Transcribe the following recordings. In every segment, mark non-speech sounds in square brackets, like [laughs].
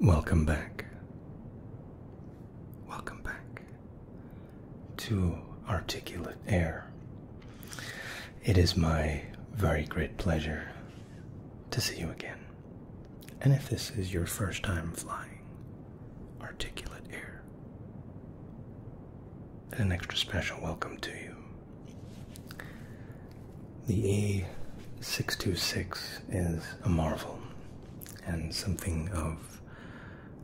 Welcome back. Welcome back to Articulate Air. It is my very great pleasure to see you again. And if this is your first time flying Articulate Air, an extra special welcome to you. The A626 is a marvel and something of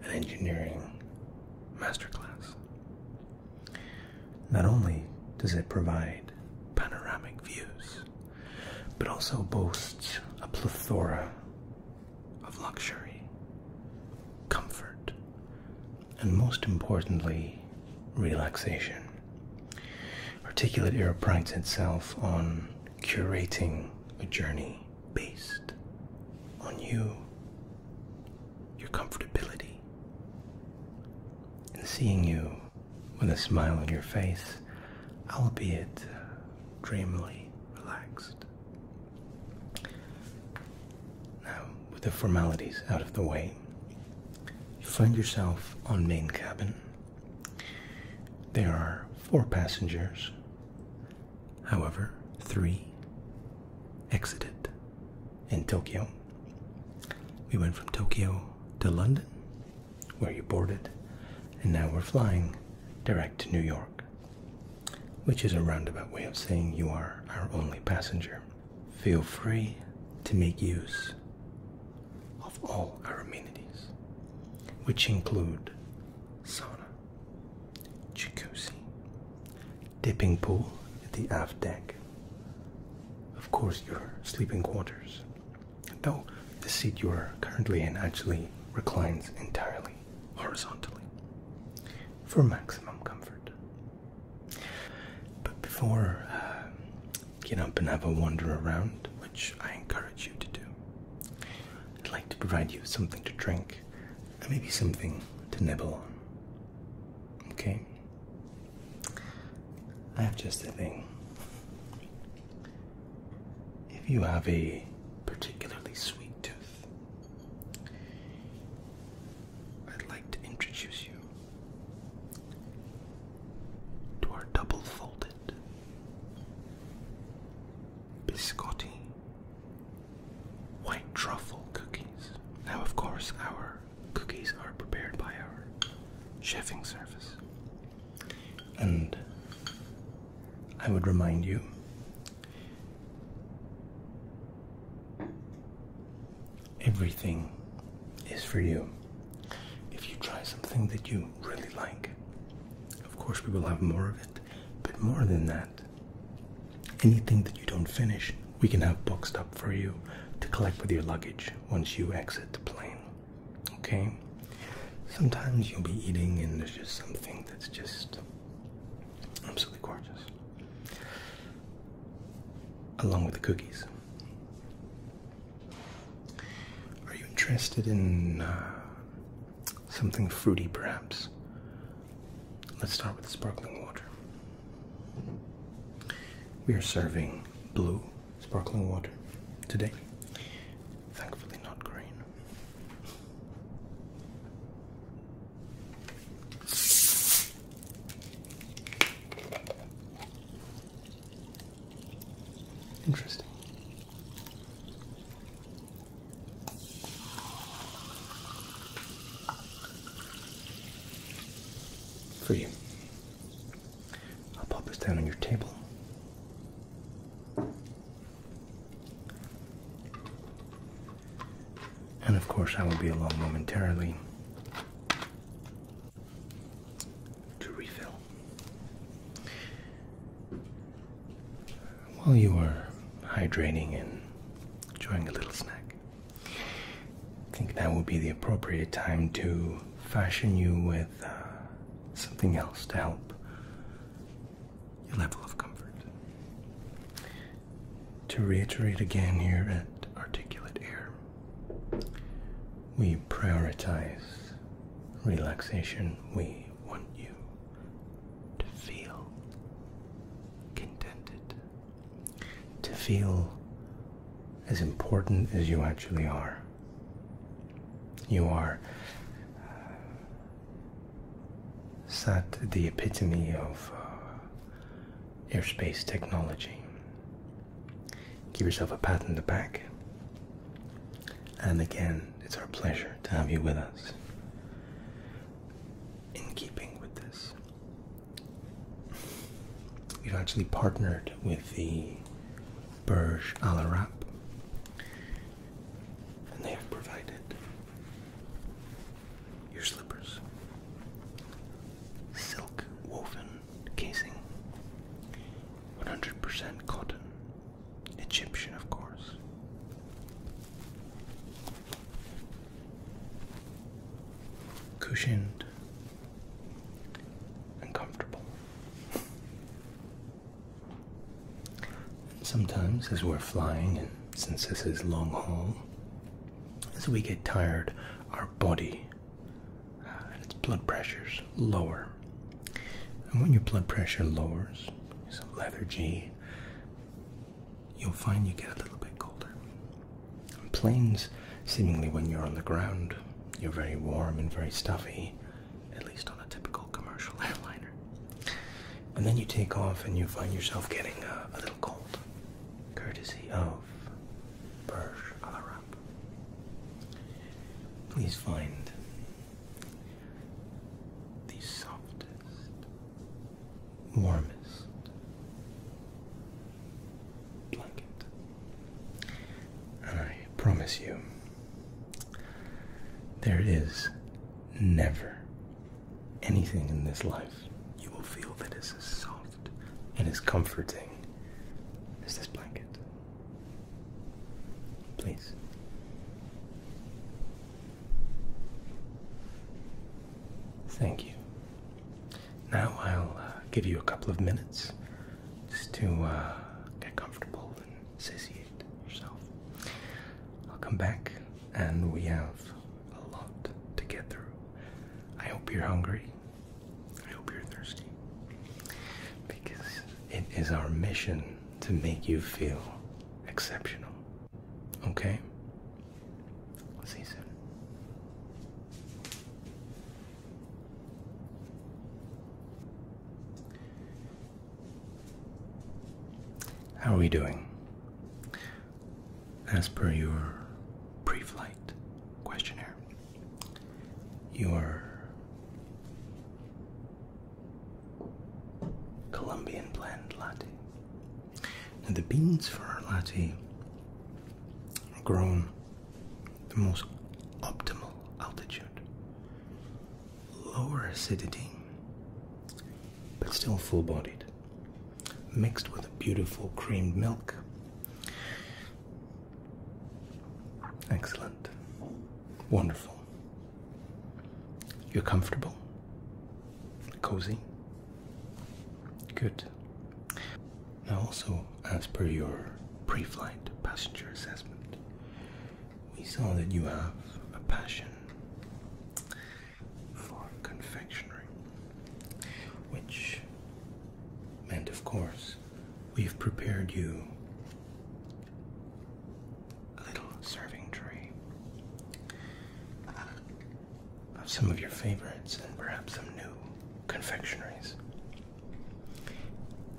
an engineering masterclass. Not only does it provide panoramic views, but also boasts a plethora of luxury, comfort, and most importantly, relaxation. Articulate Era prides itself on curating a journey based on you, your comfortability, and seeing you with a smile on your face, albeit dreamily relaxed. Now, with the formalities out of the way, you find yourself on main cabin there are four passengers. However, three exited in Tokyo. We went from Tokyo to London, where you boarded, and now we're flying direct to New York, which is a roundabout way of saying you are our only passenger. Feel free to make use of all our amenities, which include sauna, jacuzzi, dipping pool at the aft deck, of course, your sleeping quarters, though the seat you are currently in actually reclines entirely horizontally for maximum comfort. But before uh, get up and have a wander around, which I encourage you to do. I'd like to provide you something to drink and maybe something to nibble on. Okay? I have just a thing. If you have a particularly sweet tooth, I'd like to introduce you to our double fold Biscotti. White truffle cookies. Now, of course, our cookies are prepared by our chefing service. And I would remind you everything is for you. If you try something that you really like, of course we will have more of it, but more than that, anything that you don't finish, we can have boxed up for you to collect with your luggage once you exit the plane. Okay? Sometimes you'll be eating and there's just something that's just absolutely gorgeous. Along with the cookies. Are you interested in uh, something fruity, perhaps? Let's start with sparkling water. We are serving blue sparkling water today. Thankfully, not green. Interesting. For you. I'll pop this down on your table. And of course, I will be along momentarily to refill. While you are hydrating and enjoying a little snack, I think now would be the appropriate time to fashion you with uh, something else to help your level of comfort. To reiterate again here at Articulate Air, we prioritize relaxation. We want you to feel contented, to feel as important as you actually are. You are uh, sat the epitome of uh, aerospace technology. Give yourself a pat on the back. And again, it's our pleasure to have you with us. In keeping with this, we've actually partnered with the Burj Al Arab, and they have provided your slippers, silk woven casing. 100% cotton. Egyptian, of course. Cushioned and comfortable. Sometimes, as we're flying, and since this is long haul, as we get tired, our body and uh, its blood pressure's lower. And when your blood pressure lowers, some lethargy, you'll find you get a little bit colder. planes, seemingly when you're on the ground, you're very warm and very stuffy, at least on a typical commercial [laughs] airliner. And then you take off and you find yourself getting a, uh, a little cold, courtesy of Burj Al Arab. Please find the softest, warmest blanket. And I promise you, there is never anything in this life you will feel that is as soft and as comforting as this blanket. Please. Thank you. Now I'll uh, give you a couple of minutes just to uh, get comfortable and satiate yourself. I'll come back and we have a lot to get through. I hope you're hungry. I hope you're thirsty because it is our mission to make you feel exceptional. Okay? see you soon. How are we doing? As per your pre flight questionnaire, your Colombian blend latte. the beans for our latte are grown the most optimal altitude, lower acidity, but still full bodied, mixed with a beautiful creamed milk. Excellent. Wonderful. You're comfortable? Cozy? Good. Now, also, as per your pre flight passenger assessment, we saw that you have a passion for confectionery, which meant, of course, we've prepared you little serving tray of some of your favorites and perhaps some new confectionaries.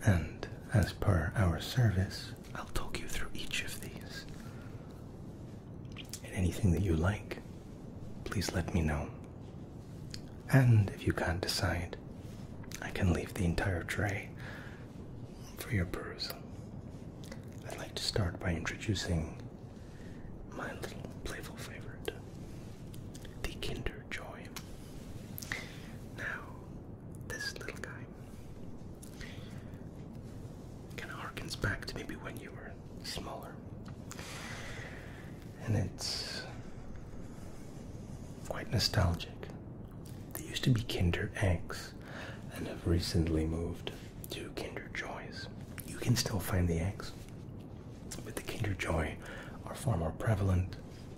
And as per our service, I'll talk you through each of these. And anything that you like, please let me know. And if you can't decide, I can leave the entire tray for your perusal. I'd like to start by introducing my little playful favorite, the Kinder Joy. Now, this little guy kind of harkens back to maybe when you were smaller. And it's quite nostalgic they used to be Kinder Eggs and have recently moved to Kinder Joys. You can still find the eggs, but the Kinder Joy are far more prevalent,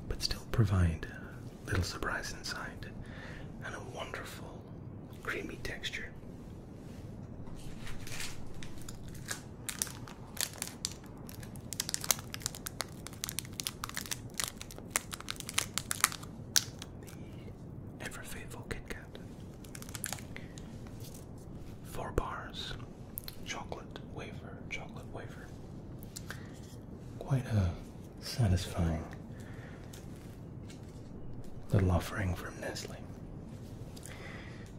but still provide little surprise inside and a wonderful creamy texture the ever faithful Kit Kat. Four bars, chocolate wafer, chocolate wafer. Quite a satisfying little offering from Nestle.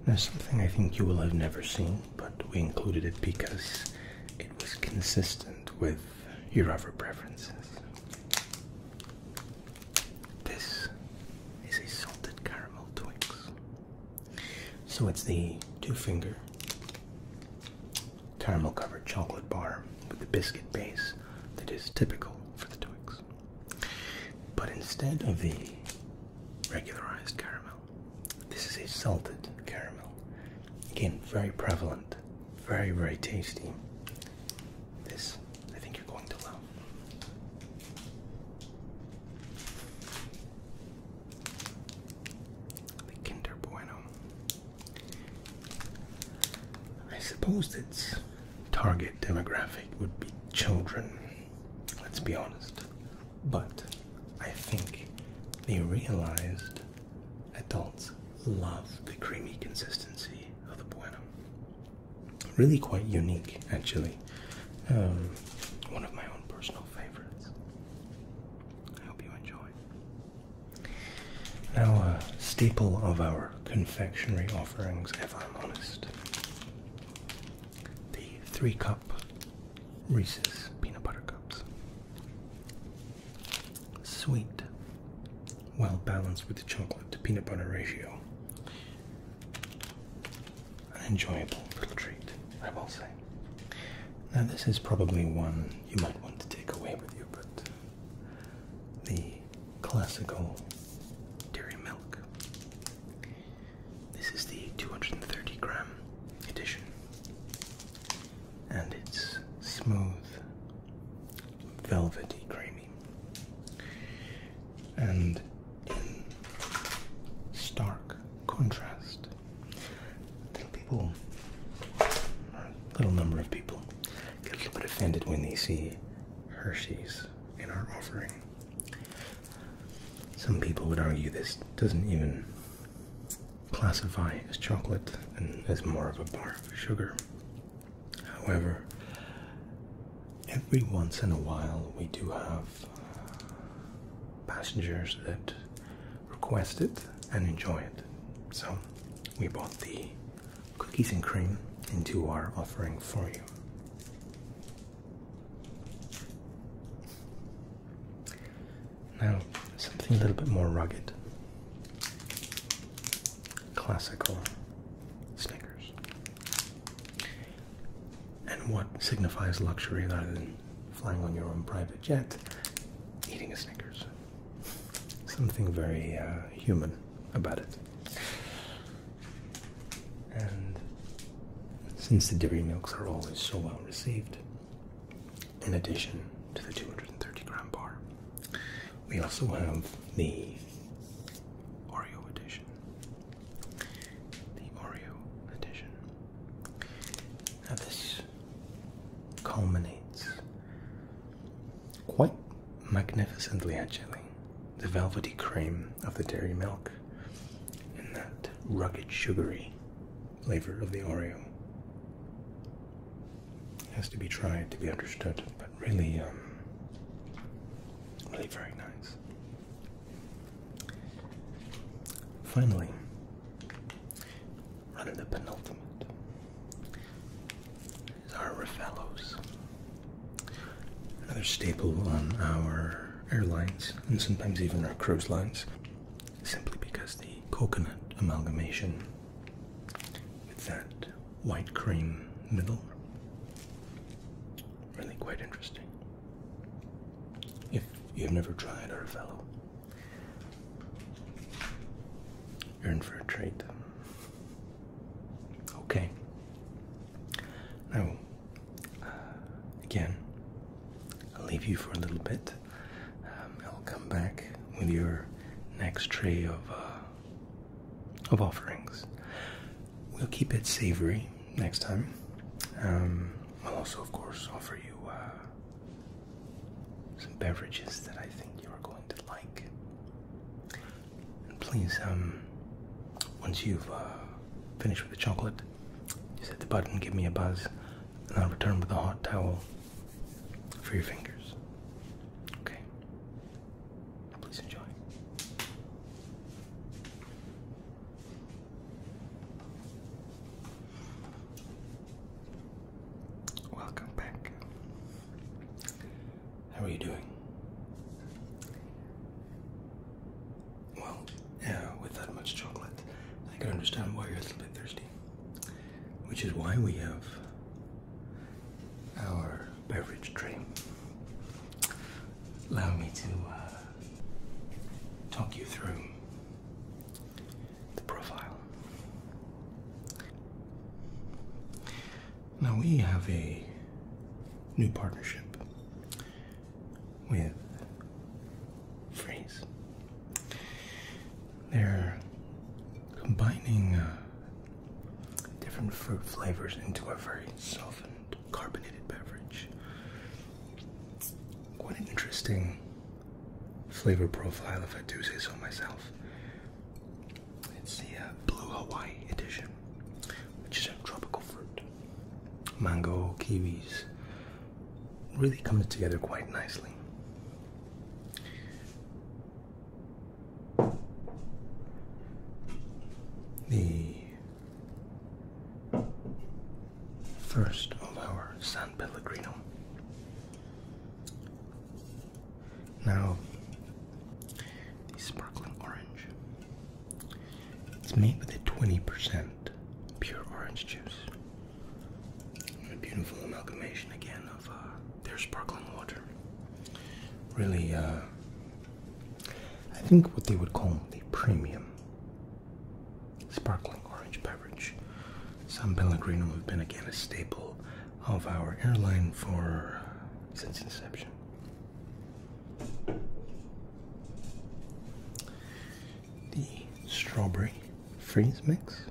Now, something I think you will have never seen, but we included it because it was consistent with your other preferences. This is a salted caramel Twix. So it's the two finger caramel covered chocolate bar with the biscuit base that is typical for the Twix. But instead of the regularized caramel, this is a salted caramel. Again, very prevalent very, very tasty. This, I think you're going to love. The Kinder Bueno. I suppose its target demographic would be children, let's be honest. But I think they realized Adults love the creamy consistency of the bueno. Really quite unique, actually. Um, one of my own personal favorites. I hope you enjoy. Now, a staple of our confectionery offerings, if I'm honest, the three cup Reese's peanut butter cups. Sweet, well balanced with the chocolate to peanut butter ratio. An enjoyable little treat, I will say. Now, this is probably one you might want to take away with you, but the classical dairy milk. This is the 230 gram edition and it's smooth, velvety, creamy. And in stark contrast, little people, little number of people, get a little bit offended when they see Hershey's in our offering. Some people would argue this doesn't even classify as chocolate and as more of a bar of sugar. However, every once in a while we do have uh, passengers that request it and enjoy it. So we brought the cookies and cream into our offering for you. Now, something a little bit more rugged. Classical Snickers. And what signifies luxury rather than flying on your own private jet? Eating a Snickers. Something very uh, human about it. And since the dairy milks are always so well received, in addition to the 230 gram bar. We also have the Oreo edition. The Oreo edition. Now, this culminates quite magnificently, actually. The velvety cream of the dairy milk and that rugged, sugary flavor of the Oreo has to be tried to be understood, but really, um, really very nice. Finally, running the penultimate is our Rafellos, another staple on our airlines and sometimes even our cruise lines, simply because the coconut amalgamation with that white cream middle. Really quite interesting. If you've never tried our fellow, you're in for a treat. Okay. Now, uh, again, I'll leave you for a little bit um, will come back with your next tray of uh, of offerings. We'll keep it savory next time. Um, we'll also, of course, offer you uh, some beverages that I think you are going to like. And please, um, once you've uh, finished with the chocolate, just hit the button, give me a buzz, and I'll return with a hot towel for your fingers. Okay. Please enjoy. Welcome back. How are you doing? Well, yeah, with that much chocolate, I can understand why you're a little bit thirsty which is why we have our beverage tray. Allow me to uh, talk you through the profile. Now we have a new partnership with Freeze. They're combining uh, different fruit flavors into a very softened, carbonated beverage. Quite an interesting flavor profile, if I do say so myself. It's the uh, Blue Hawaii edition, which is a tropical fruit. Mango, kiwis, really comes together quite nicely. The first of our San Pellegrino. Now, the sparkling orange. It's made with a 20% pure orange juice. beautiful amalgamation again uh, their sparkling water. Really, uh, I think what they would call the premium sparkling orange beverage. San Pellegrino have been again a staple of our airline for since inception. The strawberry freeze mix.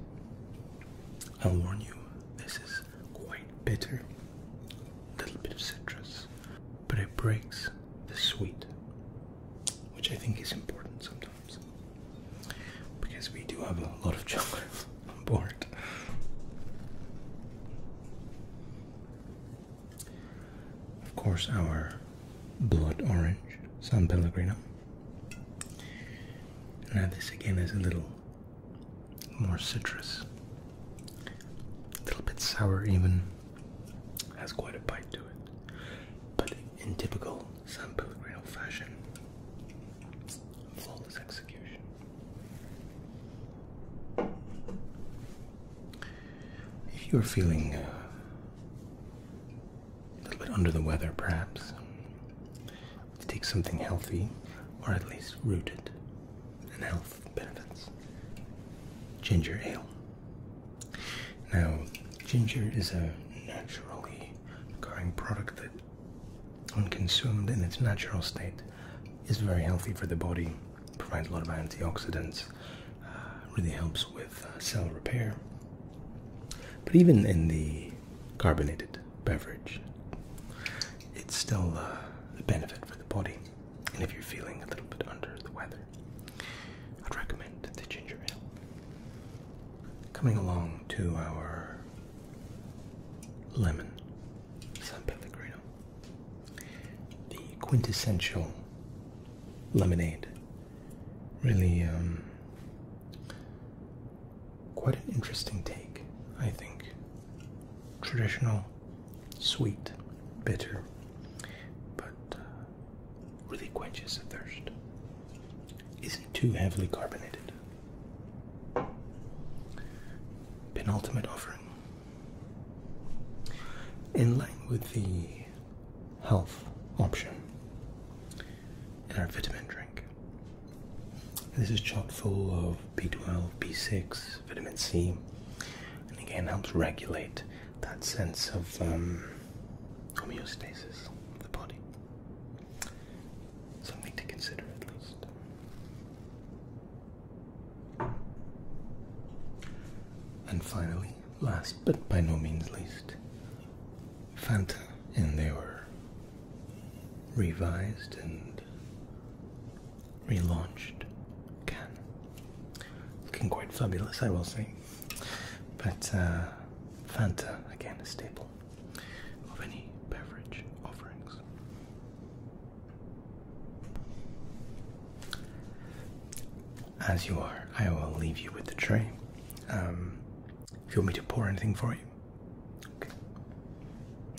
I'll warn you, this is quite bitter, a little bit of citrus, but it breaks the sweet, which I think is important sometimes because we do have a lot of chocolate [laughs] on board. Of course, our blood orange San Pellegrino. Now, this again is a little more citrus, a little bit sour, even has quite a bite to it. But in typical San Pellegrino fashion, flawless execution. If you're feeling uh, a little bit under the weather, perhaps, to take something healthy or at least rooted in health benefits. Ginger ale. Now, ginger is a naturally occurring product that, when consumed in its natural state, is very healthy for the body, provides a lot of antioxidants, uh, really helps with uh, cell repair. But even in the carbonated beverage. It's still uh, a benefit for the body, and if you're feeling a little bit under the weather, I'd recommend the ginger ale. Coming along to our lemon San Pellegrino, the quintessential lemonade. Really um, quite an interesting take, I think. Traditional, sweet, bitter, but uh, really quenches the thirst. Isn't too heavily carbonated. Penultimate offering. In line with the health option in our vitamin drink, this is chock full of B12, B6, vitamin C, and again helps regulate that sense of um, homeostasis of the body. Something to consider at least. And finally, last but by no means least, Fanta, and they revised and relaunched again Looking quite fabulous, I will say. But uh, Fanta, again, a staple of any beverage offerings. As you are, I will leave you with the tray. Um, if you want me to pour anything for you, Okay.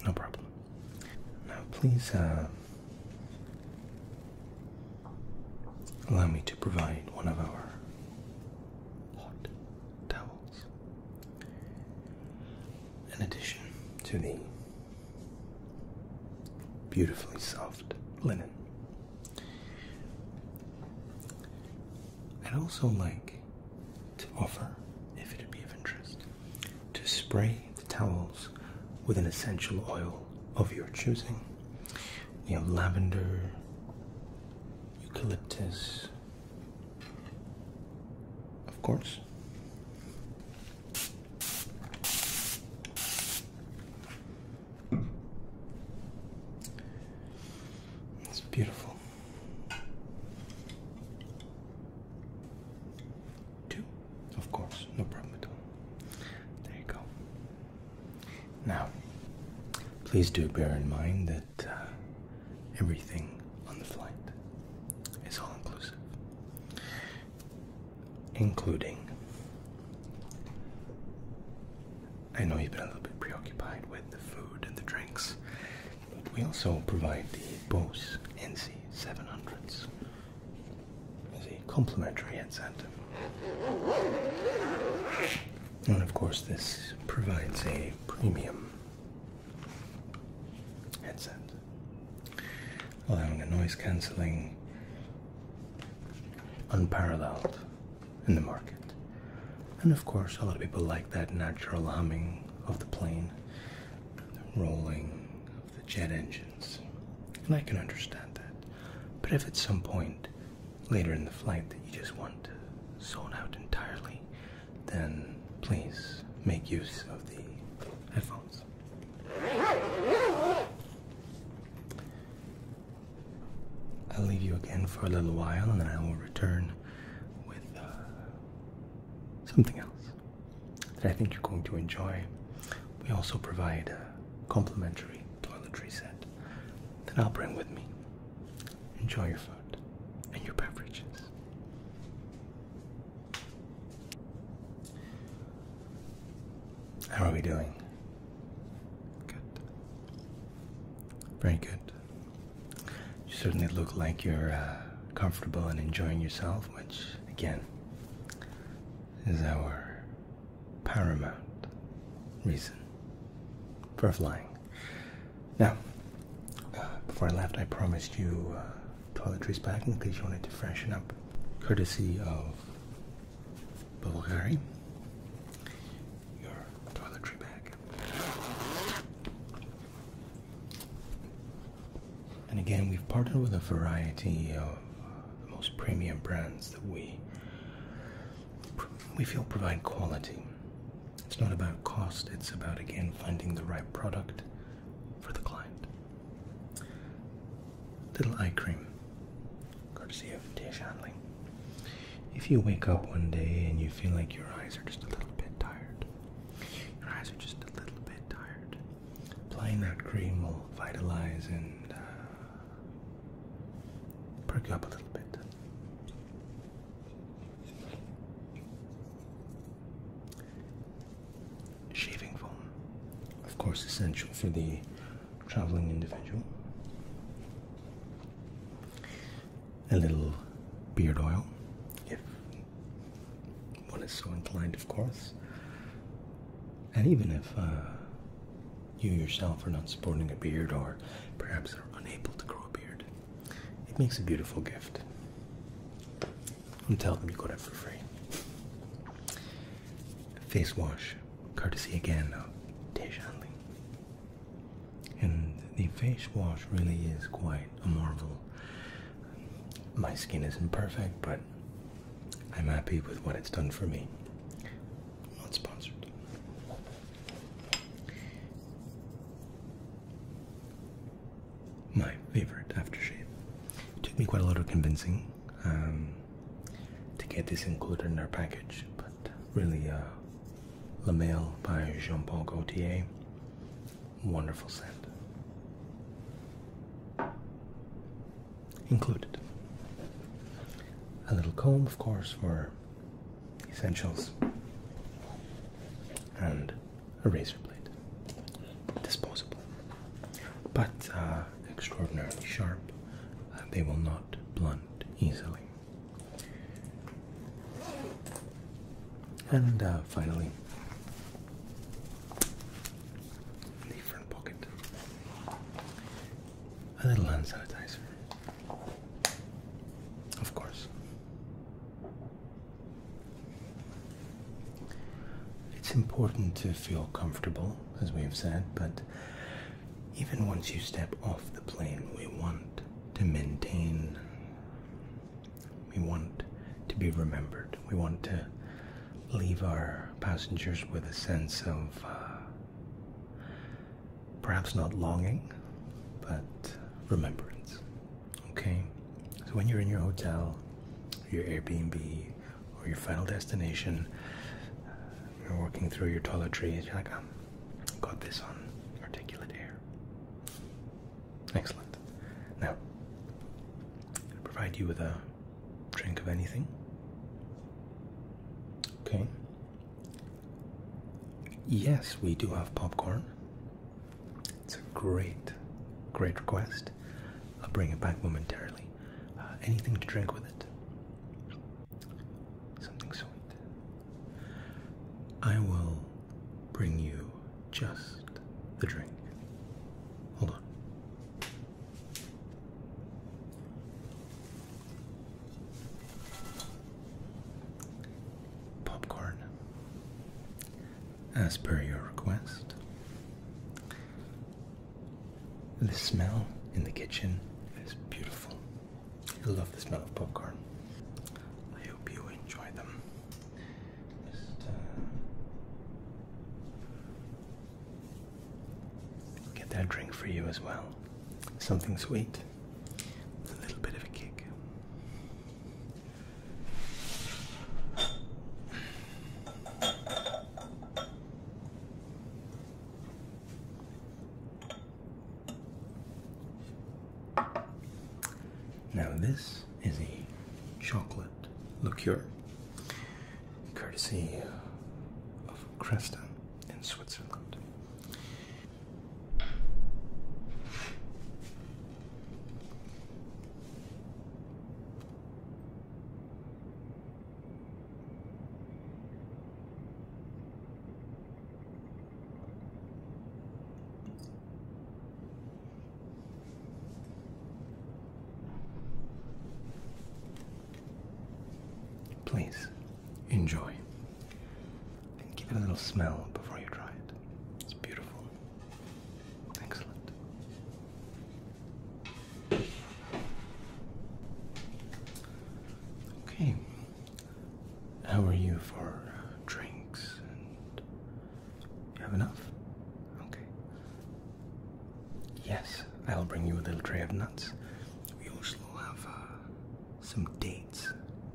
No problem. Now, please uh, allow me to provide one of our hot towels. In addition to the beautifully soft linen, i also like to offer, if it would be of interest, to spray the towels with an essential oil of your choosing. We have lavender, eucalyptus, of course. It's beautiful. Two, of course, no problem at all. There you go. Now, please do bear in mind that uh, everything on the flight is all inclusive, including. I know you've been a little bit preoccupied with the food and the drinks, we also provide the Bose NC700s as a complimentary headset. And of course, this provides a premium headset, allowing a noise cancelling unparalleled in the market. And of course, a lot of people like that natural humming of the plane the rolling of the jet engines, and I can understand that. But if at some point later in the flight that you just want to zone out entirely, then please make use of the headphones. I'll leave you again for a little while and then I will return with uh, something else that I think you're going to enjoy. We also provide a complimentary toiletry set that I'll bring with me. Enjoy your food and your beverages. How are we doing? Good. Very good. You certainly look like you're uh, comfortable and enjoying yourself, which, again, is our paramount reason for flying. Now, uh, before I left, I promised you uh, toiletries back in case you wanted to freshen up, courtesy of Bulgari. Your toiletry bag. And again, we've partnered with a variety of uh, the most premium brands that we we feel provide quality. It's not about cost, it's about again finding the right product for the client. Little eye cream, courtesy of Tia Shanling. If you wake up one day and you feel like your eyes are just a little bit tired, your eyes are just a little bit tired. Applying that cream will vitalize and uh, perk you up a little bit. Shaving foam, of course, essential for the traveling individual. A little beard oil, if one is so inclined, of course. And even if uh, you yourself are not sporting a beard or perhaps are unable to grow a beard, it makes a beautiful gift. And tell them you got it for free. Face wash, courtesy again of Tejan And the face wash really is quite a marvel. My skin isn't perfect, but I'm happy with what it's done for me. Not sponsored. My favorite aftershave. took me quite a lot of convincing um, to get this included in our package, but really, uh, La by Jean Paul Gaultier wonderful scent. Included a little comb, of course, for essentials, and a razor blade, disposable, but uh, extraordinarily sharp. they will not blunt easily. And uh, finally, the front pocket. A little hand sanitizer. Of course. It's important to feel comfortable, as we have said, but even once you step off the plane, we want to maintain we want to be remembered. We want to leave our passengers with a sense of uh, perhaps not longing, but remembrance. Okay? So when you're in your hotel, your Airbnb, or your final destination, you're walking through your toiletries, you're like, oh, got this on articulate air. Excellent. Now, provide you with a drink of anything. Okay. Yes, we do have popcorn. It's a great, great request. I'll bring it back momentarily. Uh, anything to drink with it? Something sweet. I will bring you just the drink. Hold on. Popcorn. As per your request. The smell in the kitchen is beautiful. I love the smell of popcorn. I hope you enjoy them this uh, Get that drink for you as well. Something sweet. A little bit of a kick. Now, this is a chocolate liqueur, courtesy of Cresta in Switzerland. Please enjoy and give it a little smell before you try it. It's beautiful. Excellent. Okay. How are you for drinks you have enough? Okay. Yes, I'll bring you a little tray of nuts. We also have uh, some dates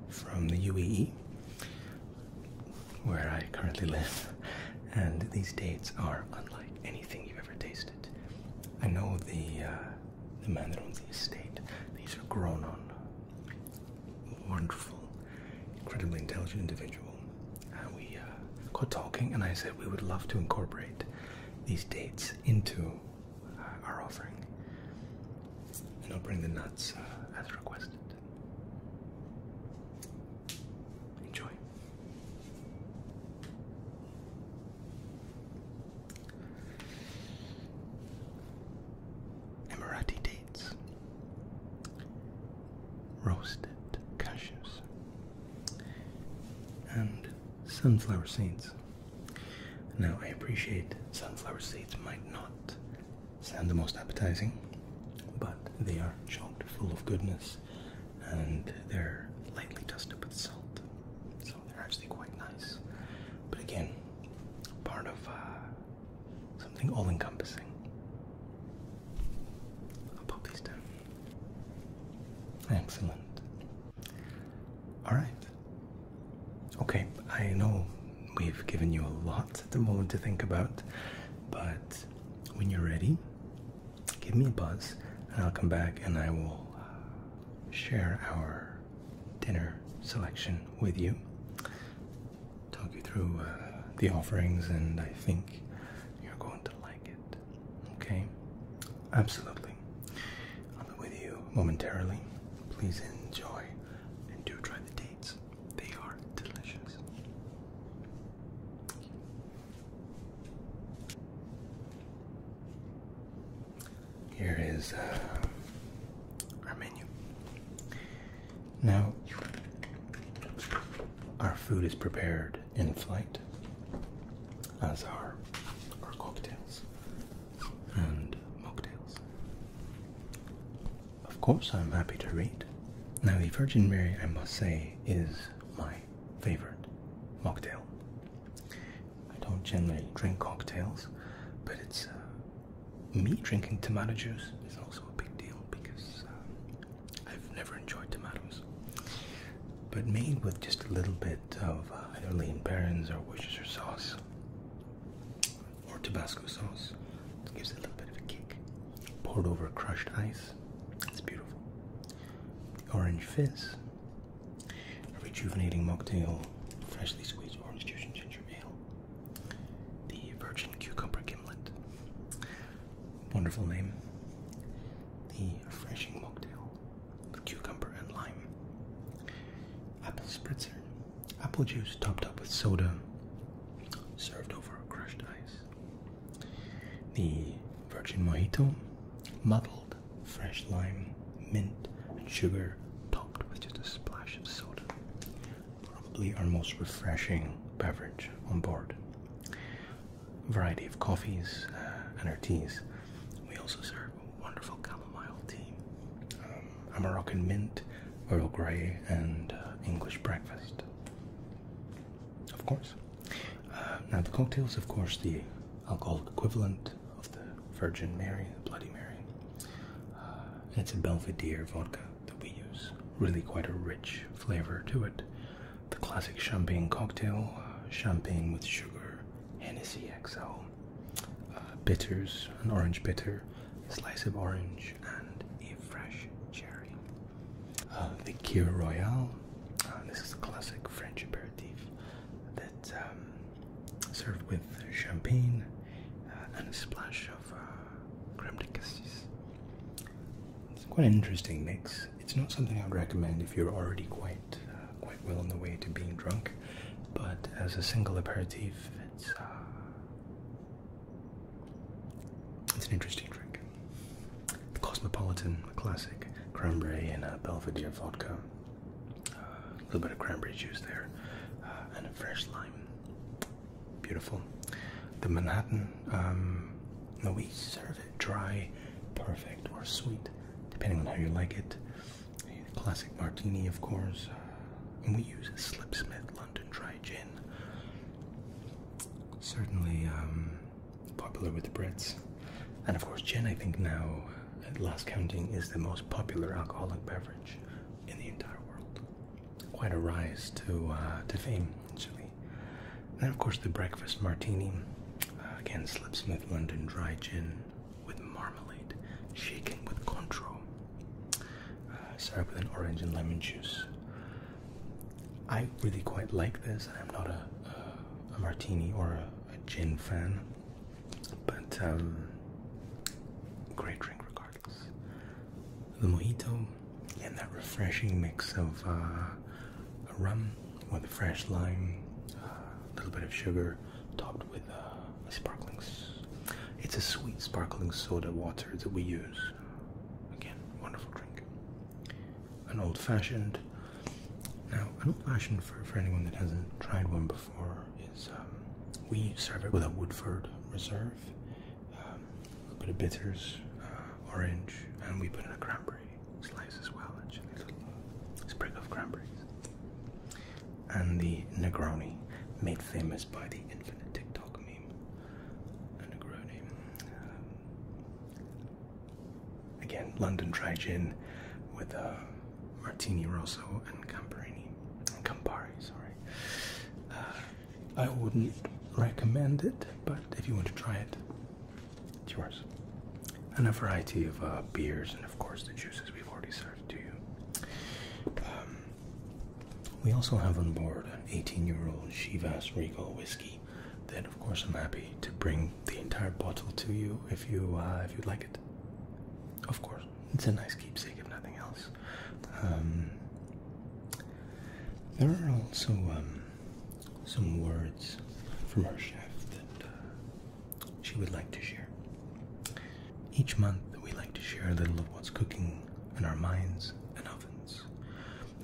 from the UAE, where I currently live, and these dates are unlike anything you've ever tasted. I know the uh, the man that owns the estate; these are grown on wonderful incredibly intelligent individual. And we uh, got talking, and I said we would love to incorporate these dates into uh, our offering. And I'll bring the nuts uh, as requested. Enjoy. Emirati dates. Roasted cashews and sunflower seeds. Now, I appreciate sunflower seeds might not sound the most appetizing, but they are chocked full of goodness and they're lightly dusted with salt, so they're actually quite nice. But again, part of uh, something all encompassing. I'll pop these down. Excellent. All right. Okay, I know we've given you a lot at the moment to think about, but when you're ready, give me a buzz and I'll come back and I will share our dinner selection with you talk you through uh, the offerings, and I think you're going to like it. Okay? Absolutely. I'll be with you momentarily. Please enjoy and do try the dates, they are delicious. Here is uh, our menu. Now, our food is prepared in flight, as are our cocktails and mocktails. Of course, I'm happy to read. Now, the Virgin Mary, I must say, is my favorite mocktail. I don't generally drink cocktails, but it's uh, me drinking tomato juice is also a big deal because um, I've never enjoyed tomatoes, but made with just a little bit of uh, either lean parents or Worcestershire sauce or Tabasco sauce. It gives it a little bit of a kick. Poured over crushed ice. It's beautiful. The orange fizz. A rejuvenating mocktail. Freshly squeezed orange juice and ginger ale. The virgin cucumber gimlet wonderful name. The refreshing mocktail with cucumber and lime. Apple spritzer. Apple juice topped up with soda, served over crushed ice. The virgin mojito. Muddled fresh lime, mint, and sugar topped with just a splash of soda. Probably our most refreshing beverage on board variety of coffees uh, and our teas. We also serve a wonderful chamomile tea, um, a Moroccan mint, Earl Grey, and uh, English breakfast. Of course. Uh, now the cocktails, of course, the alcoholic equivalent of the Virgin Mary, Bloody Mary. Uh, it's a Belvedere vodka that we use. Really quite a rich flavor to it. The classic champagne cocktail, uh, champagne with sugar, Hennessy XL, uh, bitters, an orange bitter, a slice of orange, and a fresh cherry. Uh, the Kir Royal, uh, this is a classic French aperitif that's um, served with champagne and a splash of creme de cassis. It's quite an interesting mix. It's not something I'd recommend if you're already quite uh, quite well on the way to being drunk, but as a single aperitif, it's uh, it's an interesting drink. Cosmopolitan, classic, cranberry and a Belvedere vodka. a little bit of cranberry juice there, uh, and a fresh lime. Beautiful. The Manhattan um, no, we serve it dry, perfect, or sweet, depending on how you like it. classic martini, of course. Uh, and we use a Smith London Dry Gin. Certainly um, popular with the Brits. And of course, gin, I think now, at last counting, is the most popular alcoholic beverage in the entire world. Quite a rise to, uh, to fame, actually then, of course, the breakfast martini. Uh, again, Slip smooth London Dry Gin with marmalade, shaken with control, Uh, served with an orange and lemon juice. I really quite like this. I'm not a, a, martini or a, gin fan, but um, great drink regardless the mojito, and that refreshing mix of uh, rum with fresh lime, uh, a little bit of sugar, topped with uh, sparklings. It's a sweet sparkling soda water that we use. Again, wonderful drink. An old fashioned. Now, an old fashioned for, for anyone that hasn't tried one before is um, we serve it with a Woodford Reserve um, a bit of bitters, uh, orange, and we put in a cranberry slice as well, actually, little sprig of cranberries. And the Negroni, made famous by the infinite TikTok meme. A Negroni. Um, again, London dry gin with a uh, Martini Rosso and Campari, Campari, sorry. Uh, I wouldn't recommend it, but if you want to try it, it's yours. And a variety of uh, beers, and of course, the juices we've already served to you. Um, we also have on board an 18 year old Shivas Regal whiskey. Then, of course, I'm happy to bring the entire bottle to you if you uh, if you like it. Of course, it's a nice keepsake if nothing else. Um, there are also um, some words from our chef that uh, she would like to share. Each month, we like to share a little of what's cooking in our minds and ovens.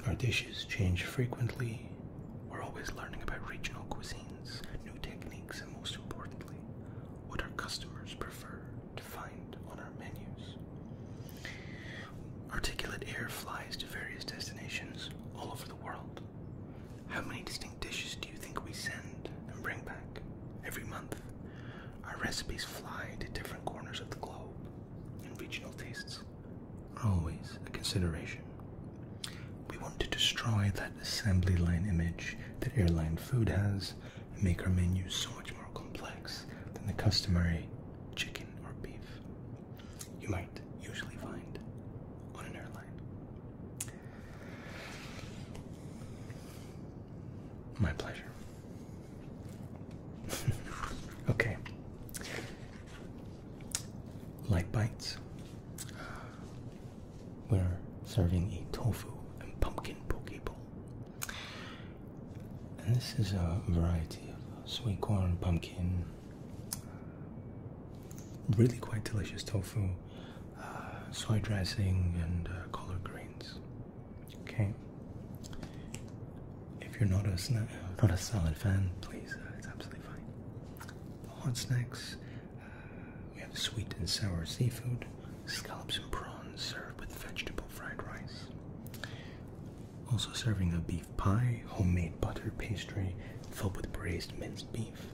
Our dishes change frequently. We're always learning about regional cuisines, new techniques, and most importantly, what our customers prefer to find on our menus. Articulate air flies to various destinations all over the world. How many distinct dishes do you think we send and bring back every month? Our recipes fly to different corners of the globe, and regional tastes are always a consideration. We want to destroy that assembly line image that airline food has and make our menus so much more complex than the customary chicken or beef you might usually find on an airline. My pleasure. [laughs] okay. Light bites. We're serving a tofu and pumpkin poke bowl. And this is a variety of sweet corn, pumpkin, really quite delicious tofu, uh, soy dressing, and uh, coloured greens. Okay. If you're not a not a salad fan, please, uh, it's absolutely fine. Hot snacks. we have sweet and sour seafood, scallops and prawns served with vegetable fried rice. Also serving a beef pie, homemade butter pastry filled with braised minced beef.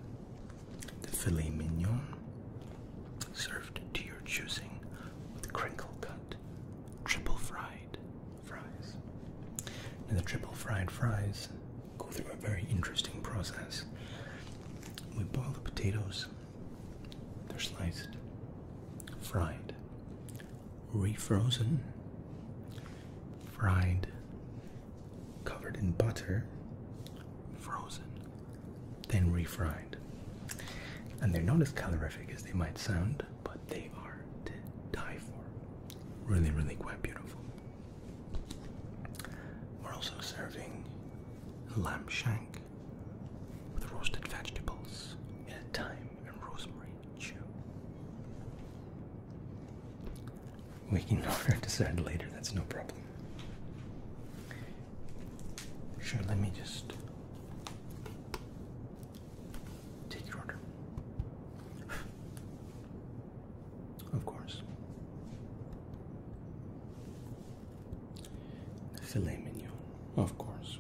The filet mignon, served to your choosing with crinkle cut, triple fried fries. Now the triple fried fries go through a very interesting process. We boil the potatoes, they're sliced, fried, refrozen, fried, covered in butter, frozen, then refried. And they're not as calorific as they might sound, but they are to die for. Really, really quite beautiful. We're also serving lamb shank with roasted vegetables in thyme and rosemary chew. We can [laughs] decide later, that's no problem. Sure, let me just take your order. [sighs] Of course. Filet mignon, of course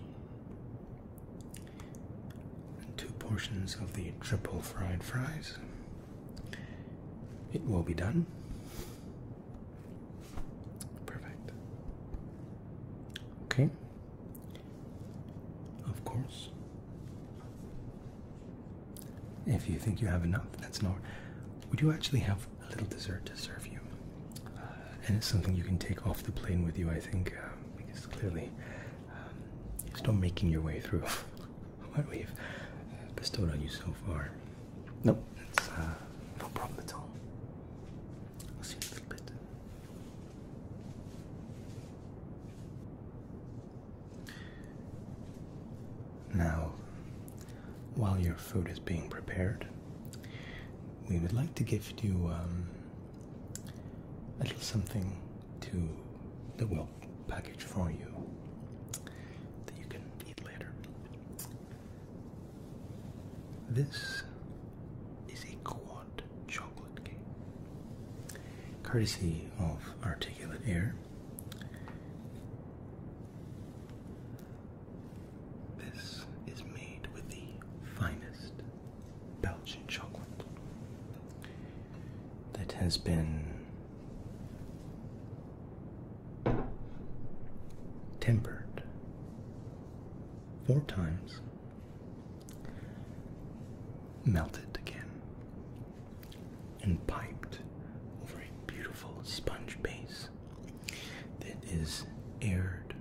two portions of the triple fried fries. It will be done. Perfect. Okay. Of course. If you think you have enough, that's not. We do actually have a little dessert to serve you. Uh, and it's something you can take off the plane with you, I think, uh, because clearly um, still making your way through [laughs] what we've bestowed on you so far. Nope, uh, no problem at all. see you in a bit. Now, while your food is being prepared, we would like to gift you um, a little something to the well package for you that you can eat later. This is a quad chocolate cake, courtesy of Articulate Air. This is made with the finest Belgian chocolate that has been tempered four times, melted again, and piped over a beautiful sponge base that is aired,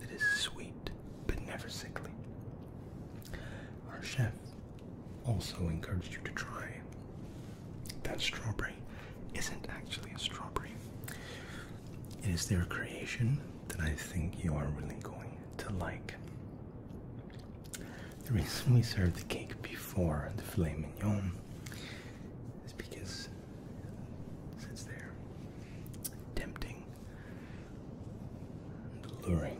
that is sweet, but never sickly. Our chef also encouraged you to try that strawberry isn't actually a strawberry. It is their creation that I think you are really going to like. The reason we served the cake before the filet mignon is because it's there tempting alluring.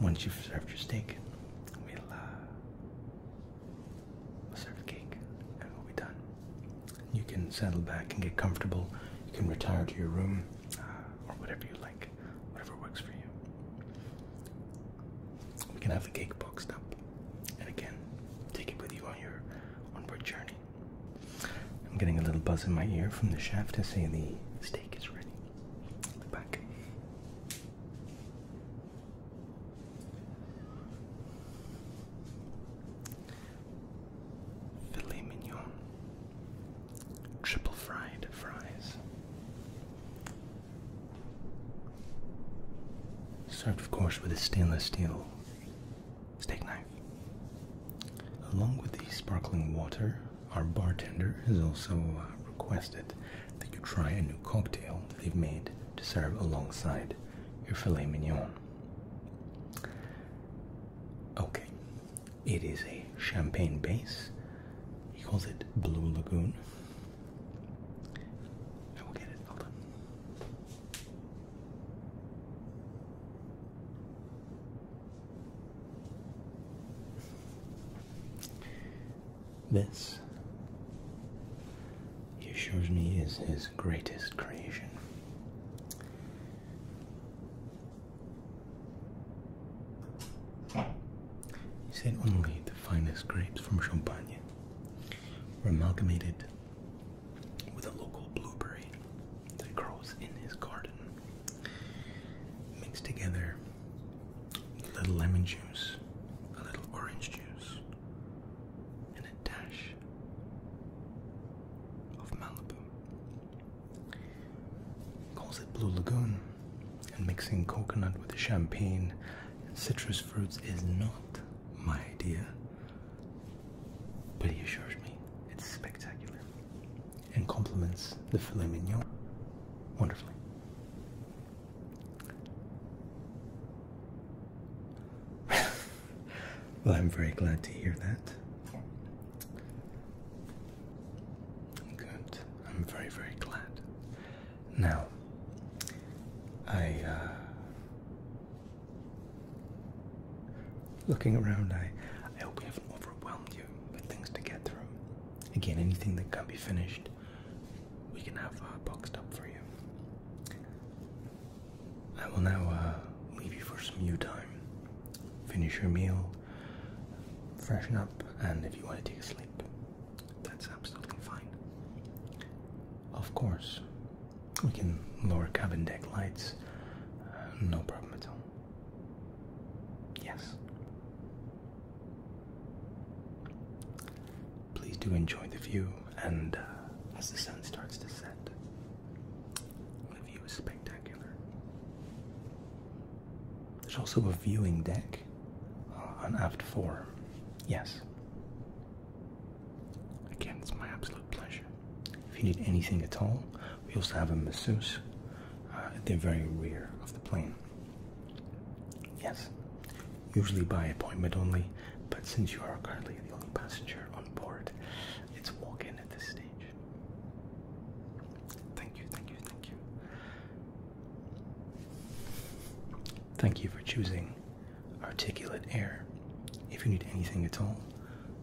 Once you've served your steak, we'll, serve the cake and we'll be done. You can settle back and get comfortable. You can retire to your room uh, or whatever you like, whatever works for you. We can have the cake boxed up, and again, take it with you on your onward journey. I'm getting a little buzz in my ear from the chef to say the steak is ready. Look back. Filet mignon. Triple fried fries. Served, of course, with a stainless steel steak knife. Along with the sparkling water, our bartender has also uh, requested that you try a new cocktail they've made to serve alongside your filet mignon. Okay, it is a champagne base. He calls it Blue Lagoon. I will get it, hold on. This, he assures me, is his greatest creation. He said only the finest grapes from Champagne were amalgamated with a local blueberry that grows in his garden. Mix together a little lemon juice, a little orange juice, and a dash of Malibu. Calls it Blue Lagoon, and mixing coconut with champagne citrus fruits is not my idea. But he assures me it's spectacular and complements the filet mignon wonderfully. [laughs] well, I'm very glad to hear that. Good. I'm very, very glad. Now, I, uh, Looking around, I, hope we haven't overwhelmed you with things to get through. Again, anything that can be finished, we can have uh, boxed up for you. I will now uh, leave you for some you time. Finish your meal, freshen up, and if you want to take a sleep, that's absolutely fine. Of course, we can lower cabin deck lights, uh, no problem at all yes. Please do enjoy the view, and uh, as the sun starts to set, the view is spectacular. There's also a viewing deck uh, on aft four. Yes. Again, it's my absolute pleasure. If you need anything at all, we also have a masseuse uh, at the very rear of the plane. Yes, usually by appointment only, but since you are currently the only passenger on board, it's walk in at this stage. Thank you, thank you, thank you. Thank you for choosing Articulate Air. If you need anything at all,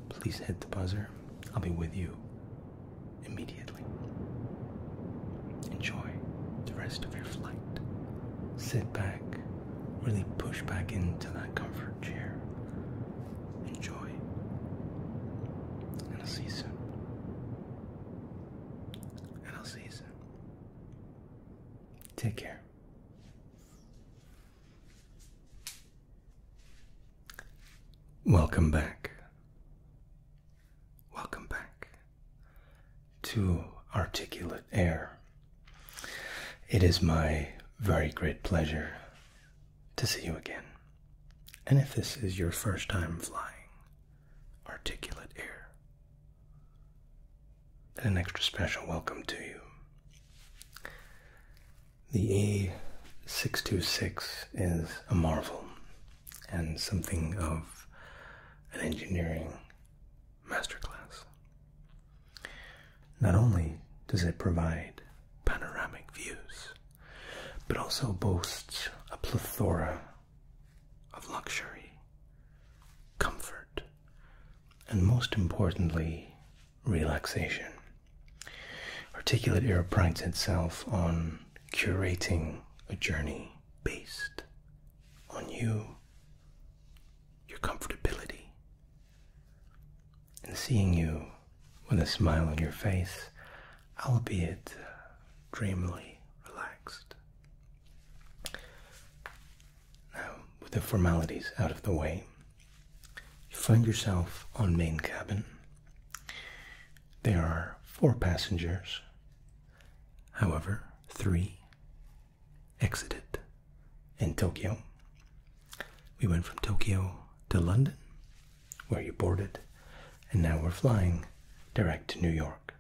please hit the buzzer. I'll be with you immediately. Enjoy the rest of your flight. Sit back, really push back into that comfort chair. Enjoy. And I'll see you soon. And I'll see you soon. Take care. Welcome back. Welcome back to Articulate Air. It is my very great pleasure to see you again. And if this is your first time flying Articulate Air, then an extra special welcome to you. The A626 is a marvel and something of an engineering masterclass. Not only does it provide panoramic views, but also boasts a plethora of luxury, comfort, and most importantly, relaxation. Articulate Era prides itself on curating a journey based on you, your comfortability, and seeing you with a smile on your face, albeit dreamily relaxed. Now, with the formalities out of the way, you find yourself on main cabin. There are four passengers. However, three exited in Tokyo. We went from Tokyo to London, where you boarded, and now we're flying direct to New York,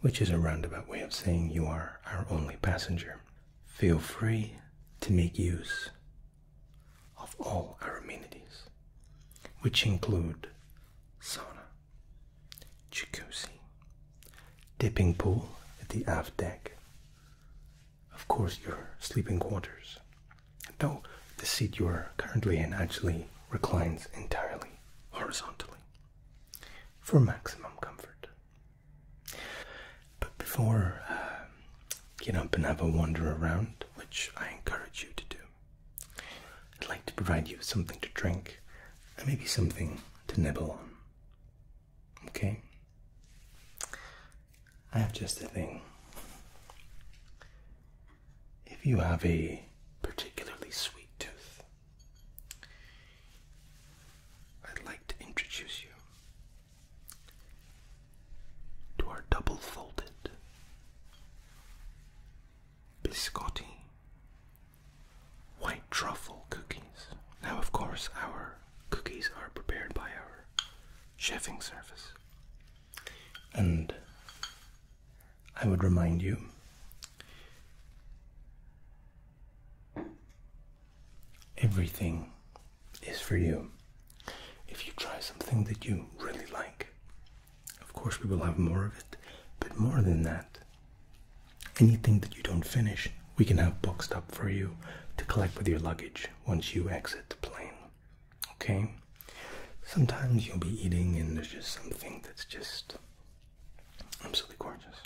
which is a roundabout way of saying you are our only passenger. Feel free to make use of all our amenities, which include sauna, jacuzzi, dipping pool at the aft deck, of course, your sleeping quarters. Though the seat you are currently in actually reclines entirely horizontally for maximum comfort. But before uh, get up and have a wander around, which I encourage you to do. I'd like to provide you with something to drink and maybe something to nibble on. Okay? I have just a thing. If you have a particularly sweet tooth, I'd like to introduce you to our double folded biscotti white truffle cookies. Now, of course, our cookies are prepared by our chefing service. And I would remind you everything is for you. If you try something that you really like, of course we will have more of it, but more than that, anything that you don't finish, we can have boxed up for you to collect with your luggage once you exit the plane. Okay? Sometimes you'll be eating and there's just something that's just absolutely gorgeous.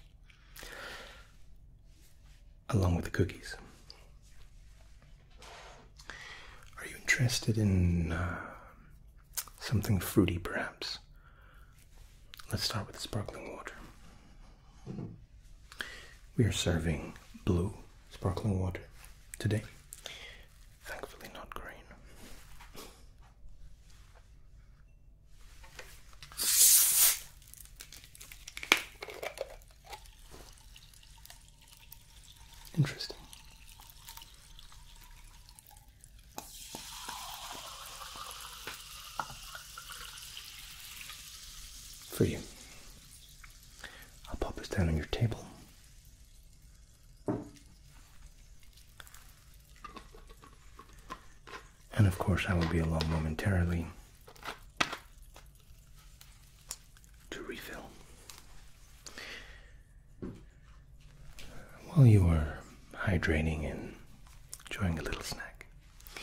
Along with the cookies. Are you interested in uh, something fruity, perhaps? Let's start with sparkling water. We are serving blue sparkling water today. Thankfully, not green. Interesting. For you. I'll pop this down on your table. And of course, I will be along momentarily to refill while you were hydrating and enjoying a little snack, I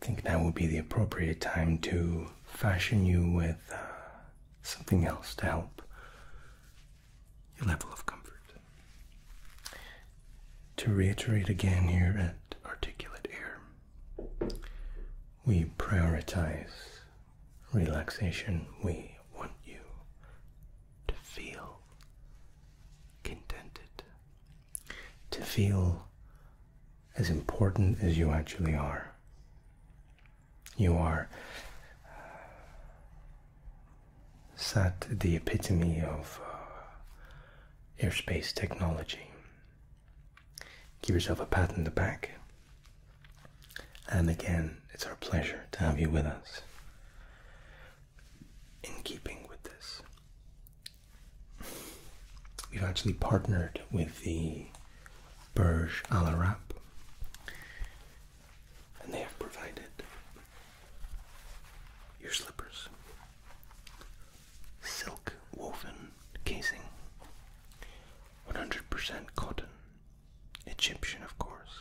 think now would be the appropriate time to fashion you with uh, something else to help your level of comfort. To reiterate again here at Articulate Air, we prioritize relaxation, we want you to feel contented, to feel as important as you actually are. You are uh, sat the epitome of uh, airspace technology. Give yourself a pat in the back and again, it's our pleasure to have you with us. In keeping with this, we've actually partnered with the Burj Al Arab, and they have provided your slippers, silk woven casing, 100% cotton Egyptian, of course.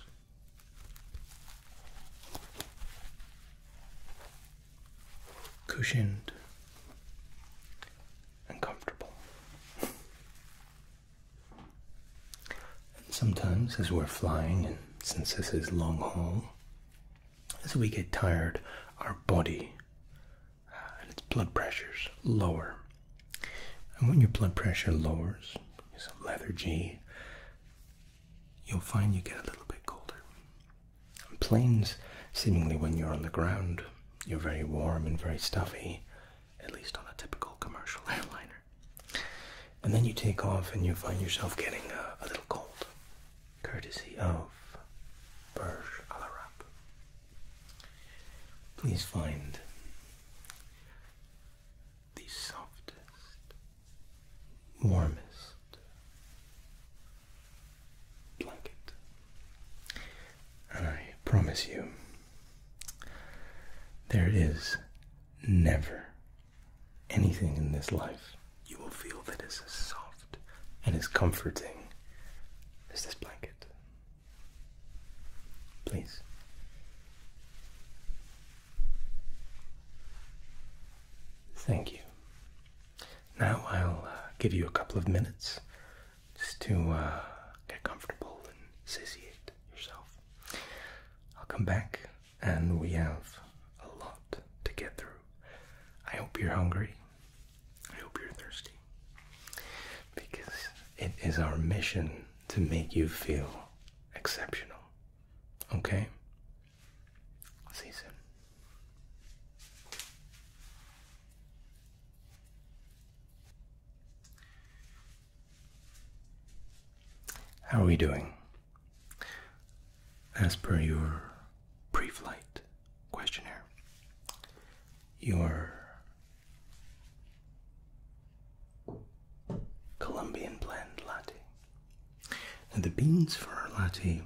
Cushioned and comfortable. and sometimes, as we're flying, and since this is long haul, as we get tired, our body uh, and its blood pressures lower and when your blood pressure lowers, some lethargy, you'll find you get a little bit colder. On planes, seemingly when you're on the ground, you're very warm and very stuffy, at least on a typical commercial [laughs] airliner. And then you take off and you find yourself getting a, little cold, courtesy of Burj Al Arab. Please find the softest, warmest blanket. I promise you, there is never anything in this life you will feel that is as soft and as comforting as this blanket. Please. Thank you. Now I'll uh, give you a couple of minutes just to uh, get comfortable and satiate yourself. I'll come back and we have a lot to get through. I hope you're hungry. I hope you're thirsty. Because it is our mission to make you feel exceptional. Okay? See you soon. How are we doing? As per your pre flight questionnaire, your Colombian blend latte. And the beans for our latte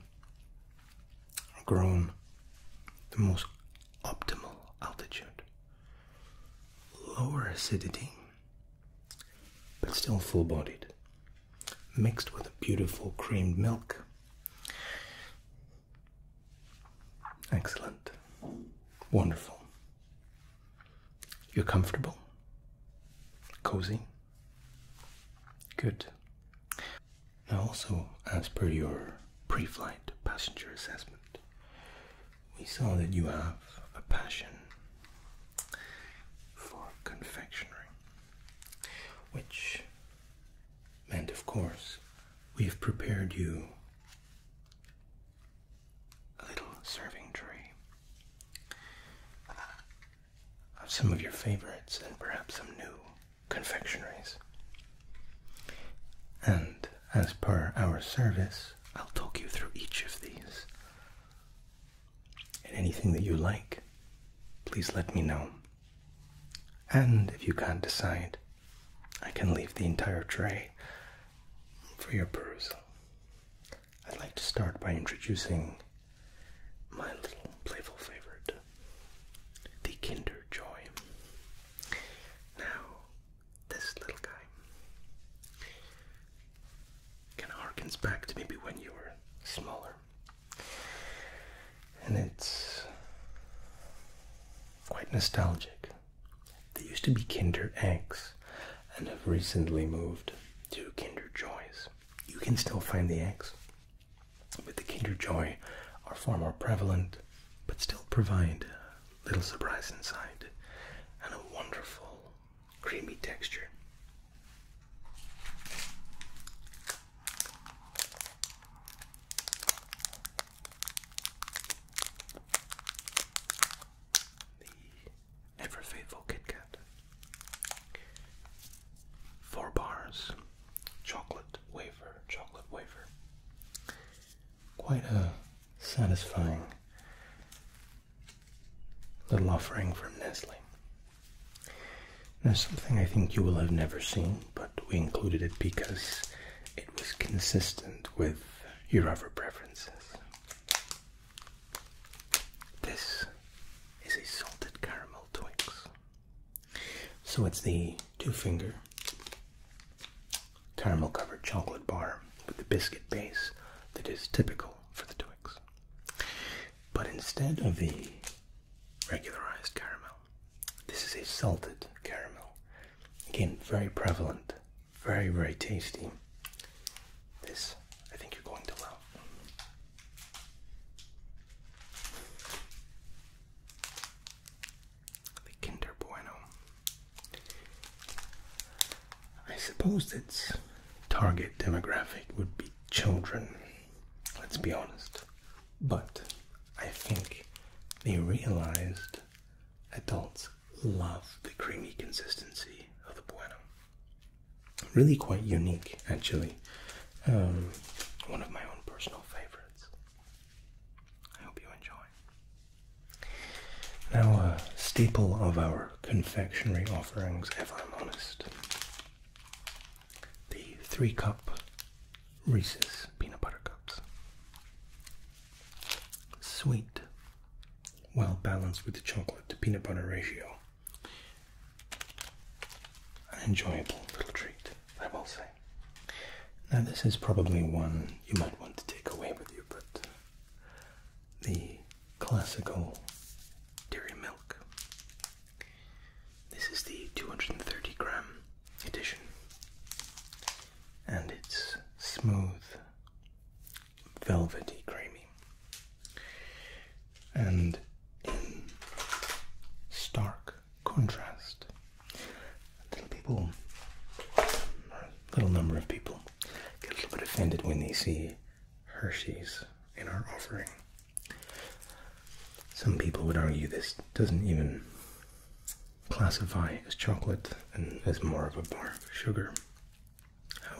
are grown at the most optimal altitude. Lower acidity, but still full bodied, mixed with a beautiful creamed milk. Excellent. Wonderful. You're comfortable? Cozy? Good. Now, also, as per your pre flight passenger assessment, we saw that you have a passion for confectionery, which meant, of course, we have prepared you a little serving tray of some of your favorites and perhaps some new confectionaries. And as per our service, I'll talk you through each of these. And anything that you like, please let me know. And if you can't decide, I can leave the entire tray for your perusal. I'd like to start by introducing my little playful favorite, the Kinder Joy. Now, this little guy kind of harkens back to maybe when you were smaller. And it's quite nostalgic. They used to be Kinder Eggs and have recently moved to Kinder Joys. You can still find the eggs, but the Kinder Joy are far more prevalent, but still provide a little surprise inside and a wonderful creamy texture the ever faithful Kit Four bars, chocolate wafer, chocolate wafer. Quite a satisfying little offering from Nestle. Now, something I think you will have never seen, but we included it because it was consistent with your other preferences. This is a salted caramel Twix. So it's the two finger caramel covered chocolate bar with the biscuit base that is typical for the Twix. But instead of the regularized caramel, this is a salted caramel Again, very prevalent, very, very tasty. This, I think you're going to love. The Kinder Bueno. I suppose its target demographic would be children, let's be honest. But I think they realized adults love the creamy consistency of the bueno. Really quite unique, actually. Um, one of my own personal favorites. I hope you enjoy. Now, a staple of our confectionery offerings, if I'm honest, the three cup Reese's peanut butter cups. Sweet, well balanced with the chocolate to peanut butter ratio. An enjoyable little treat, I will say. Now, this is probably one you might want to take away with you, but the classical dairy milk. This is the 230 gram edition, and it's smooth velvety creamy. And in stark contrast, little people, little number of people, get a little bit offended when they see Hershey's in our offering. Some people would argue this doesn't even classify as chocolate and as more of a bar of sugar.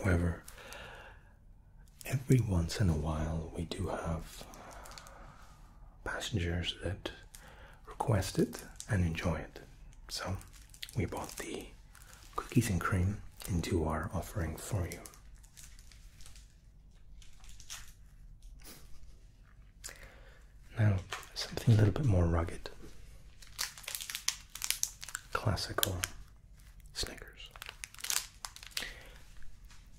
However, every once in a while we do have passengers that request it and enjoy it. So we brought the cookies and cream into our offering for you. Now, something a little bit more rugged classical Snickers.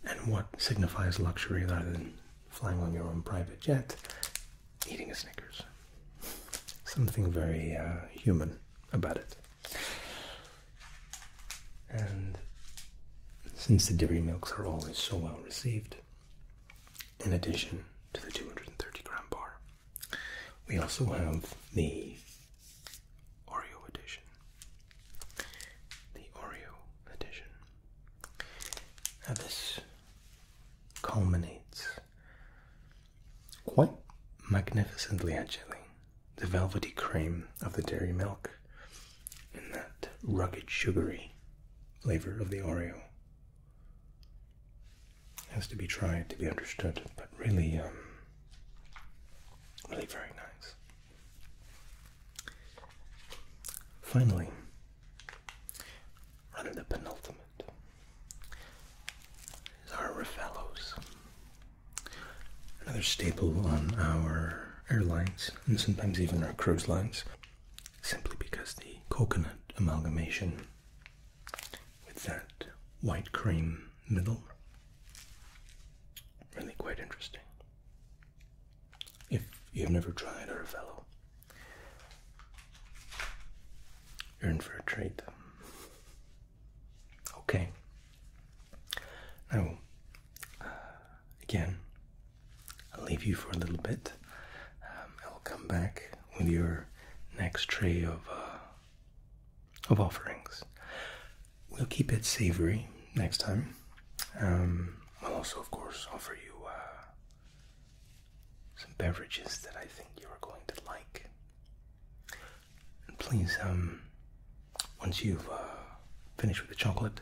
And what signifies luxury rather than flying on your own private jet? Eating a Snickers. Something very uh, human about it. And since the dairy milks are always so well received, in addition to the 230 gram bar, we also have the Oreo edition. The Oreo edition. Now, this culminates quite magnificently, actually. The velvety cream of the dairy milk and that rugged, sugary flavor of the Oreo has to be tried to be understood, but really, um, really very nice. Finally, under the penultimate is our Raffalos, another staple on our airlines and sometimes even our cruise lines, simply because the coconut amalgamation with that white cream middle. Really quite interesting. If you've never tried Aravello, you're in for a treat. Okay. Now, uh, again, I'll leave you for a little bit. Um, I'll come back with your next tray of uh, of offerings. We'll keep it savory next time. I'll um, also, of course, offer you uh, some beverages that I think you are going to like. And please, um, once you've uh, finished with the chocolate,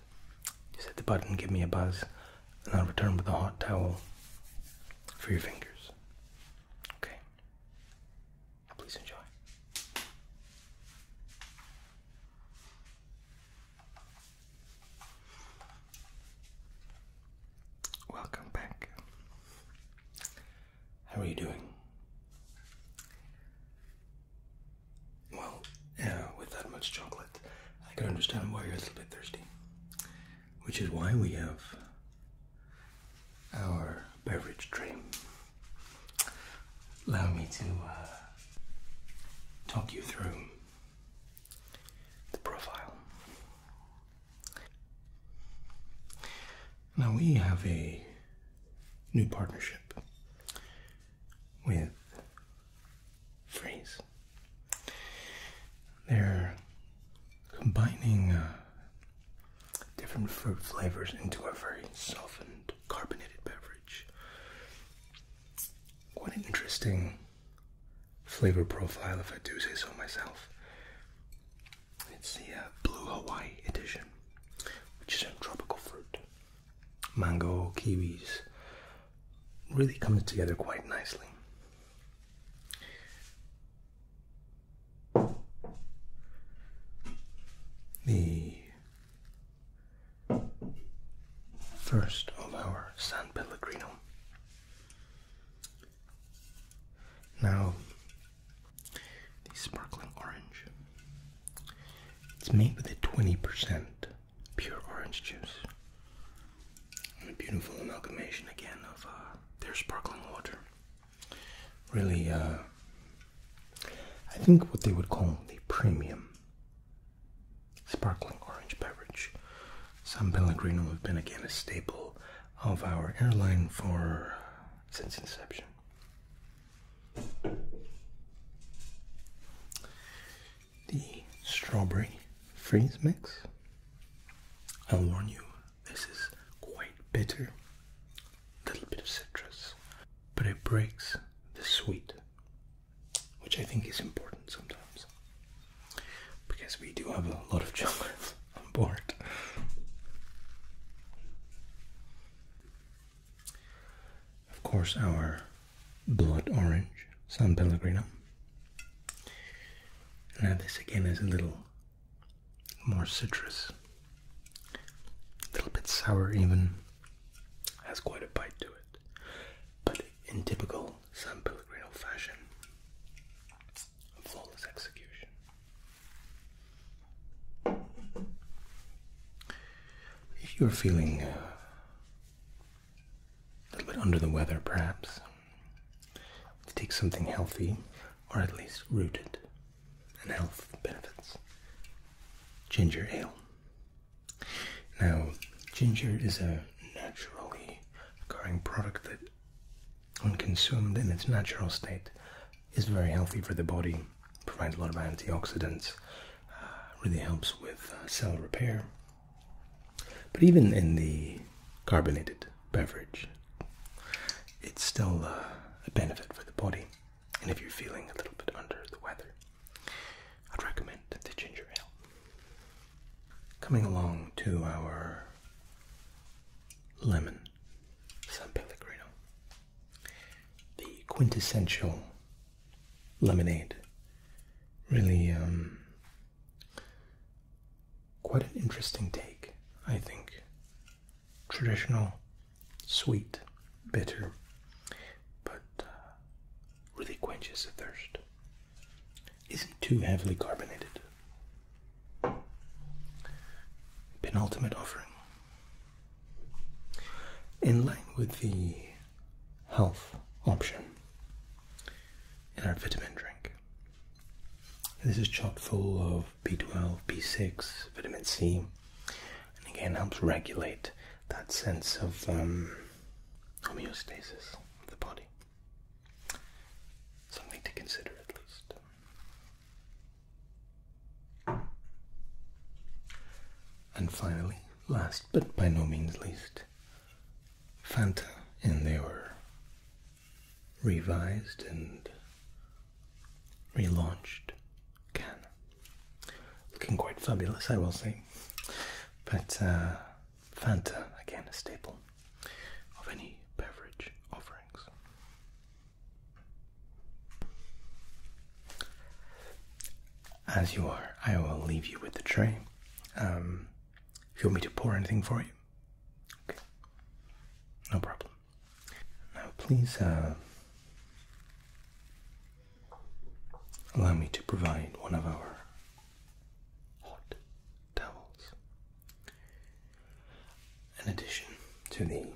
just hit the button, give me a buzz, and I'll return with a hot towel for your fingers. Okay. please enjoy. Welcome back. How are you doing? Well, yeah, with that much chocolate, I can understand why you're a little bit thirsty. Which is why we have our beverage dream. Allow me to uh, talk you through the profile. Now, we have a new partnership with Freeze. They're combining uh, different fruit flavors into a very softened, carbonated beverage. Quite an interesting flavor profile, if I do say so myself. It's the uh, Blue Hawaii edition, which is a tropical fruit. Mango, kiwis, really coming together quite nicely the first of our San Pellegrino. Now, the sparkling orange. It's made with a 20% pure orange juice. And a beautiful amalgamation again of uh, their sparkling water really, uh, I think what they would call the premium sparkling orange beverage. San Pellegrino has been again a staple of our airline for since inception. The strawberry freeze mix. I'll warn you, this is quite bitter, little bit of citrus, but it breaks the sweet, which I think is important sometimes because we do have a lot of chocolate [laughs] on board. Of course, our blood orange, San Pellegrino. Now, this again is a little more citrus, a little bit sour even, has quite a bite to it. But in typical San Pellegrino fashion, flawless execution. If you're feeling uh, a little bit under the weather, perhaps, to take something healthy or at least rooted, in health benefits. Ginger ale. Now, ginger is a naturally occurring product that, when consumed in its natural state, is very healthy for the body, provides a lot of antioxidants, uh, really helps with uh, cell repair. But even in the carbonated beverage, it's still uh, a benefit for the body. And if you're feeling a little bit under the weather, I'd recommend the ginger ale. Coming along to our lemon San Pellegrino, the quintessential lemonade. Really, um, quite an interesting take, I think, traditional sweet, bitter, but uh, really quenches the thirst. Isn't too heavily carbonated. Penultimate offering. In line with the health option in our vitamin drink, this is chock full of B12, B6, vitamin C, and again helps regulate that sense of um, homeostasis of the body. Something to consider at least. And finally, last but by no means least, Fanta in their revised and relaunched can. Looking quite fabulous, I will say. But uh, Fanta, again, a staple of any beverage offerings. As you are, I will leave you with the tray. Um, if you want me to pour anything for you, okay. No problem. Now, please uh, allow me to provide one of our hot towels. In addition to the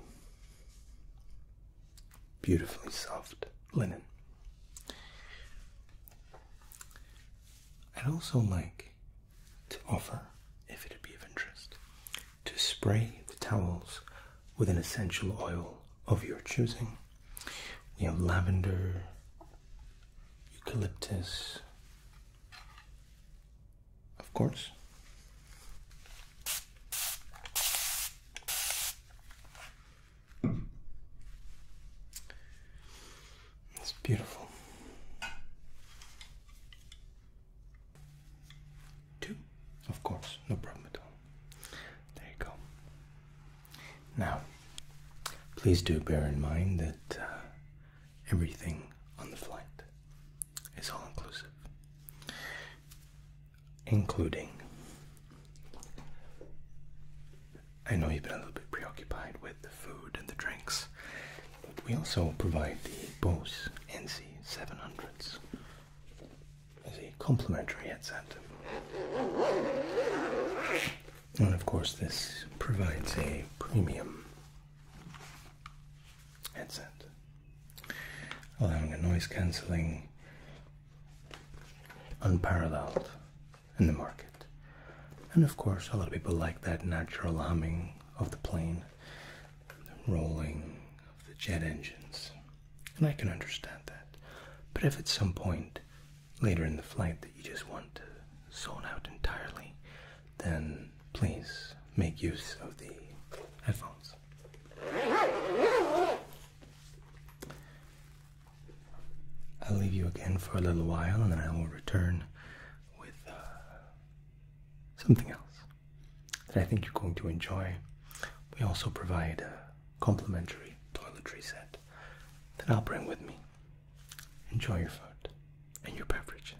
beautifully soft linen, I'd also like to offer, if it'd be of interest, to spray the towels with an essential oil of your choosing. We have lavender, eucalyptus, of course. It's beautiful. Two, of course, no problem at all. There you go. Now, please do bear in mind that uh, everything on the flight is all inclusive, including. I know you've been a little bit preoccupied with the food and the drinks we also provide the Bose NC700s as a complimentary headset. And of course, this provides a premium headset, allowing a noise cancelling unparalleled in the market. And of course, a lot of people like that natural humming of the plane the rolling of the jet engines, and I can understand that. But if at some point later in the flight that you just want to zone out entirely, then please make use of the headphones. I'll leave you again for a little while and then I will return with uh, something else that I think you're going to enjoy. We also provide a complimentary toiletry set that I'll bring with me. Enjoy your food and your beverages.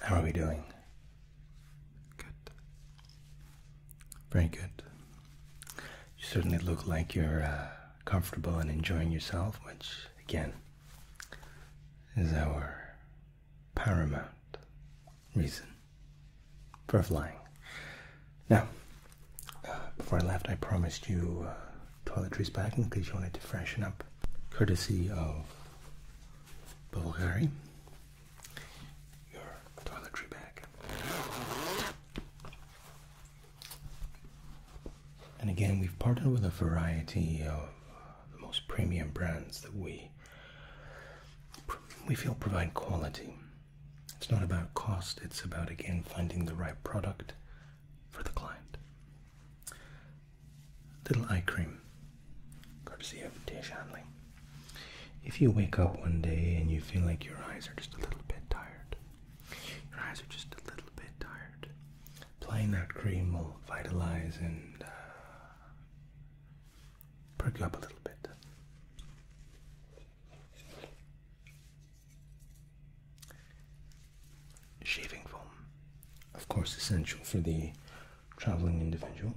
How are we doing? Good. Very good. You certainly look like you're uh, comfortable and enjoying yourself, which again is our paramount reason for flying. Now, uh, before I left, I promised you uh, toiletries back in case you wanted to freshen up, courtesy of Bulgari. Your toiletry bag. And again, we've partnered with a variety of the most premium brands that we we feel provide quality. It's not about cost, it's about again finding the right product for the client. Little eye cream, courtesy of Tia Shanley. If you wake up one day and you feel like your eyes are just a little bit tired, your eyes are just a little bit tired. Applying that cream will vitalize and uh, perk you up a little bit. Shaving foam, of course, essential for the traveling individual.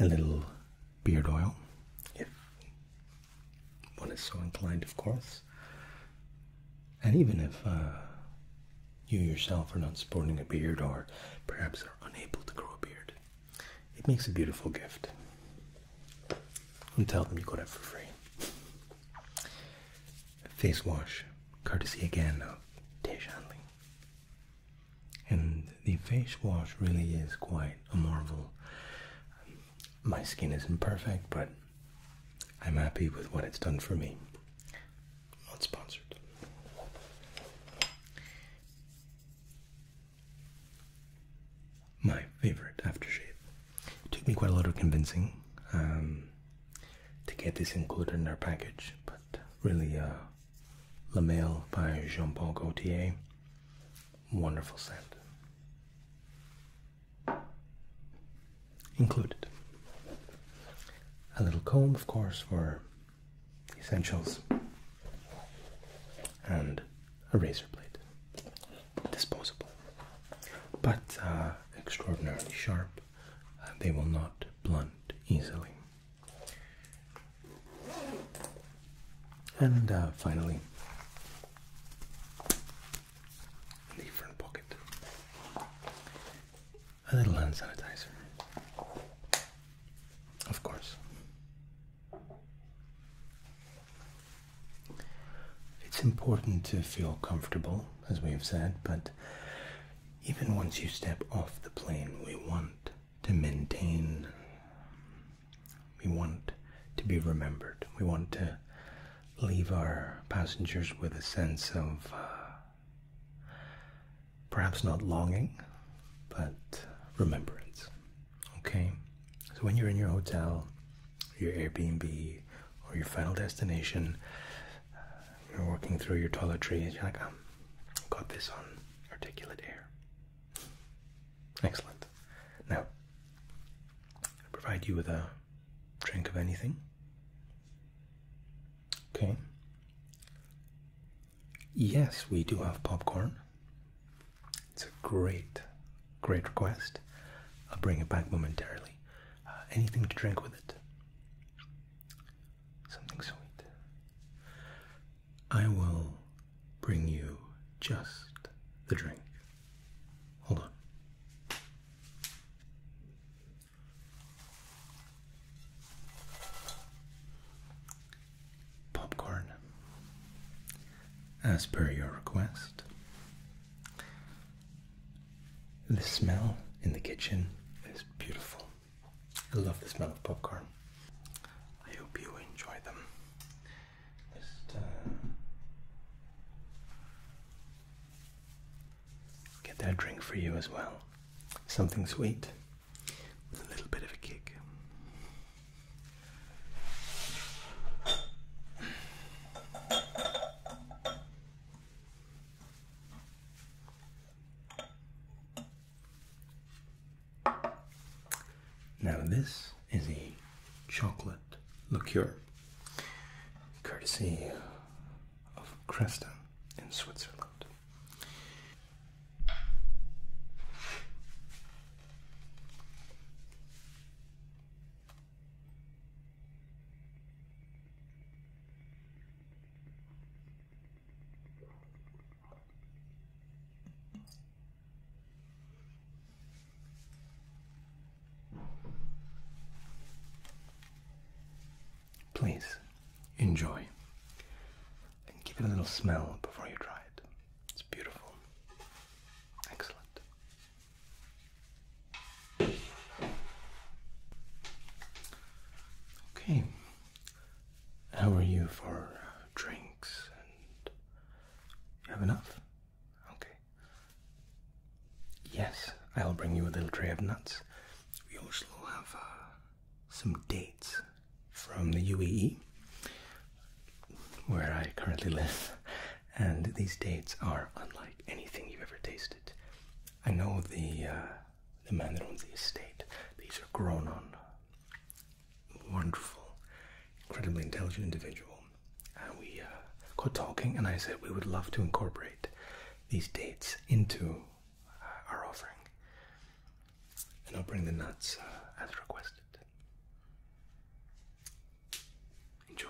A little beard oil, if one is so inclined, of course. And even if uh, you yourself are not sporting a beard or perhaps are unable to grow a beard, it makes a beautiful gift. And tell them you got it for free. Face wash, courtesy again of Dejanli. And the face wash really is quite a marvel my skin isn't perfect, but I'm happy with what it's done for me. Not sponsored. My favorite aftershave. took me quite a lot of convincing um, to get this included in our package, but really, uh, La Mail by Jean Paul Gaultier wonderful scent. Included. A little comb, of course, for essentials, and a razor blade. Disposable, but uh, extraordinarily sharp. Uh, they will not blunt easily. And uh, finally, in the front pocket. A little hand sanitizer. Of course. It's important to feel comfortable, as we've said, but even once you step off the plane, we want to maintain we want to be remembered. We want to leave our passengers with a sense of uh, perhaps not longing, but remembrance. Okay? So when you're in your hotel, your Airbnb, or your final destination, you're walking through your toiletries, you're like, I've um, got this on articulate air. Excellent. Now, provide you with a drink of anything. Okay. Yes, we do have popcorn. It's a great, great request. I'll bring it back momentarily. Uh, anything to drink with it? Something sweet. I will bring you just the drink. Hold on. Popcorn. As per your request. The smell in the kitchen is beautiful. I love the smell of popcorn. I hope you enjoy them. Just uh, get that drink for you as well. Something sweet with a little bit of a kick. Now, this is a chocolate liqueur courtesy of Cresta in Switzerland. Please enjoy and give it a little smell before you try it. It's beautiful. Excellent. Okay. How are you for drinks and you have enough? Okay. Yes, I'll bring you a little tray of nuts. We also have uh, some dates from the UAE, where I currently live, [laughs] and these dates are unlike anything you've ever tasted. I know the uh, the man that owns the estate. These are grown on wonderful, incredibly intelligent individual, and we got uh, talking, and I said we would love to incorporate these dates into uh, our offering. And I'll bring the nuts uh, as requested. Enjoy.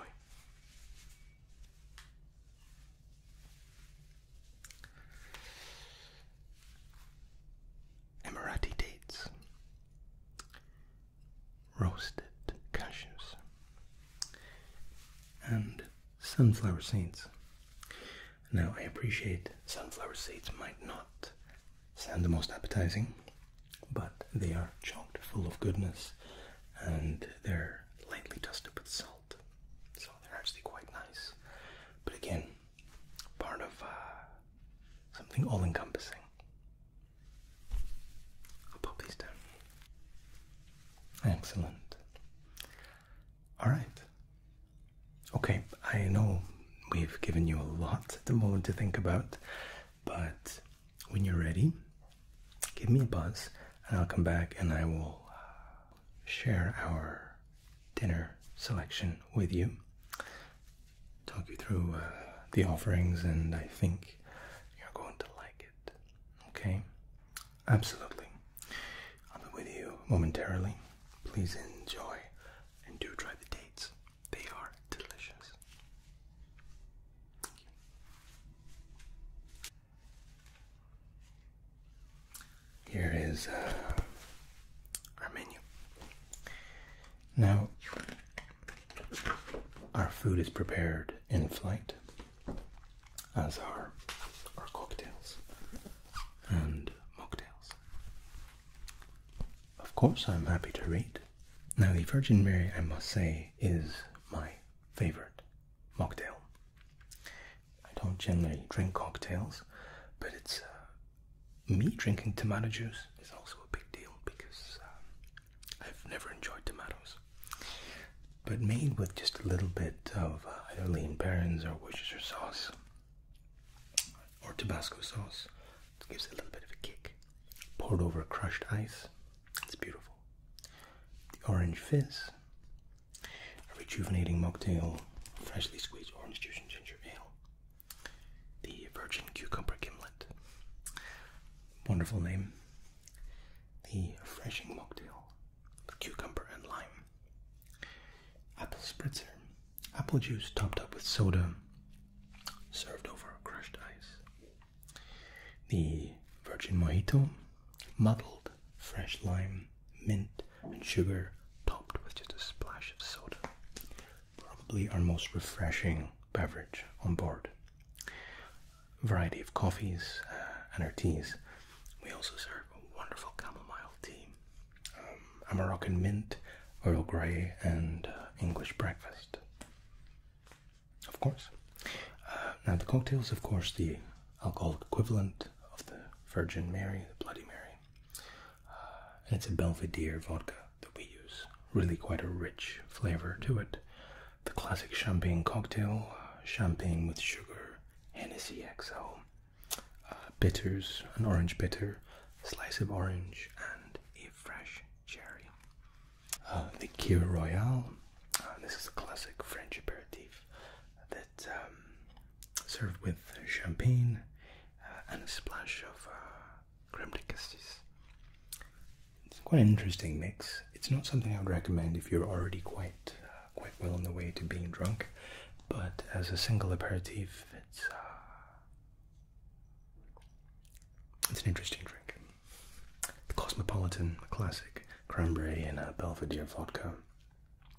Emirati dates roasted cashews, and sunflower seeds. Now, I appreciate sunflower seeds might not sound the most appetizing, but they are chocked full of goodness and they're lightly dusted with salt, so they're actually quite nice. But again, part of uh, something all encompassing. I'll pop these down. Excellent. All right. Okay, I know we've given you a lot at the moment to think about, but when you're ready, give me a buzz and I'll come back and I will share our dinner selection with you, talk you through uh, the offerings, and I think you're going to like it. Okay? Absolutely. I'll be with you momentarily. Please enjoy and do try the dates, they are delicious. Here is uh, our menu. Now, our food is prepared in flight, as are our cocktails and mocktails. Of course, I'm happy to read. Now, the Virgin Mary, I must say, is my favorite mocktail. I don't generally drink cocktails, but it's uh, me drinking tomato juice is also a big deal because um, I've never enjoyed tomatoes, but made with just a little bit of uh, either lean parents or Worcestershire sauce or Tabasco sauce. gives a little bit of a kick. Poured over crushed ice. It's beautiful. The orange fizz. A rejuvenating mocktail. Freshly squeezed orange juice and ginger ale. The virgin cucumber gimlet. Wonderful name the refreshing mocktail, the cucumber and lime, apple spritzer, apple juice topped up with soda, served over crushed ice, the virgin mojito, muddled fresh lime, mint, and sugar topped with just a splash of soda. Probably our most refreshing beverage on board variety of coffees uh, and our teas. We also serve a wonderful chamomile tea, um, a Moroccan mint, Earl Grey, and uh, English breakfast. Of course. Uh, now, the cocktails. of course, the alcohol equivalent of the Virgin Mary, the Bloody Mary. it's a Belvedere vodka that we use. Really quite a rich flavor to it the classic champagne cocktail, champagne with sugar, Hennessy XO, uh, bitters, an orange bitter, slice of orange, and a fresh cherry. Uh, the Cure Royale, uh, this is a classic French aperitif that's um, served with champagne and a splash of creme de cassis. It's quite an interesting mix. It's not something I would recommend if you're already quite quite well on the way to being drunk, but as a single aperitif, it's uh, it's an interesting drink. The Cosmopolitan, a classic, cranberry and a Belvedere vodka,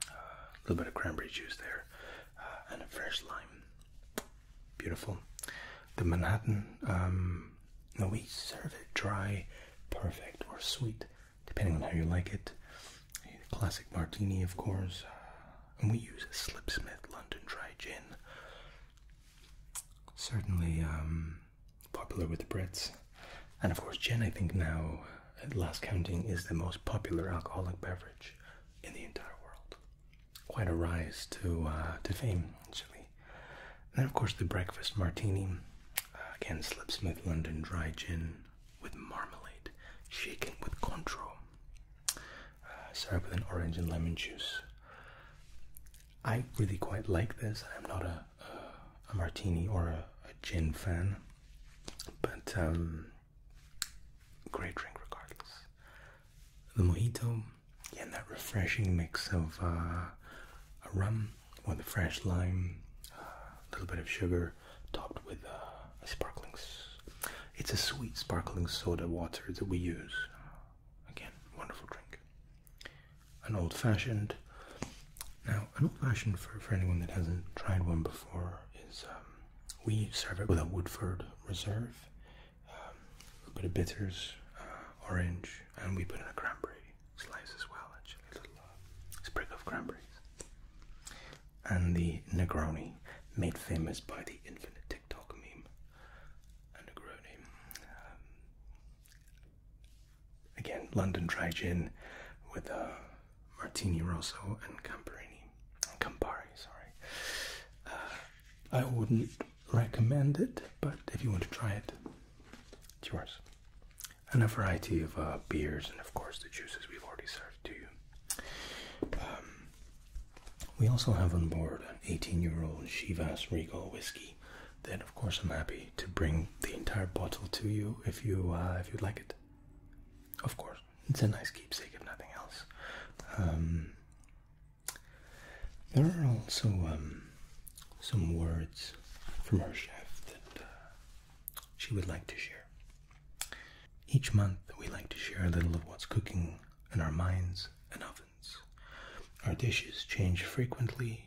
a little bit of cranberry juice there, uh, and a fresh lime. Beautiful. The Manhattan. Um, um, we serve it dry, perfect, or sweet, depending on how you like it. classic martini, of course, and we use a Slipsmith London Dry Gin. Certainly um, popular with the Brits, and of course, gin. I think now, at last counting, is the most popular alcoholic beverage in the entire world. Quite a rise to uh, to fame, actually then, of course, the breakfast martini. Uh, again again, smooth London Dry Gin with marmalade, shaken with Cointreau. Uh, served with an orange and lemon juice. I really quite like this. I'm not a, a, martini or a, gin fan, but um, great drink regardless. The mojito, yeah, and that refreshing mix of uh, a rum with a fresh lime, a little bit of sugar, topped with uh, a sparkling. It's a sweet sparkling soda water that we use. Again, wonderful drink. An old fashioned. Now, an old fashioned for, for anyone that hasn't tried one before is um, we serve it with a Woodford Reserve, um, a bit of bitters, uh, orange, and we put in a cranberry slice as well, actually, little sprig of cranberries. And the Negroni, made famous by the infinite TikTok meme. A Negroni. Um, again, London dry gin with a uh, Martini Rosso and Camparini. Campari, sorry. Uh, I wouldn't recommend it, but if you want to try it, it's yours. And a variety of uh, beers, and of course, the juices we've already served to you. Um, we also have on board an 18 year old Shivas Regal whiskey. Then, of course, I'm happy to bring the entire bottle to you if you uh, if you'd like it. Of course, it's a nice keepsake if nothing else. Um, there are also um, some words from her chef that uh, she would like to share. Each month, we like to share a little of what's cooking in our minds and ovens. Our dishes change frequently.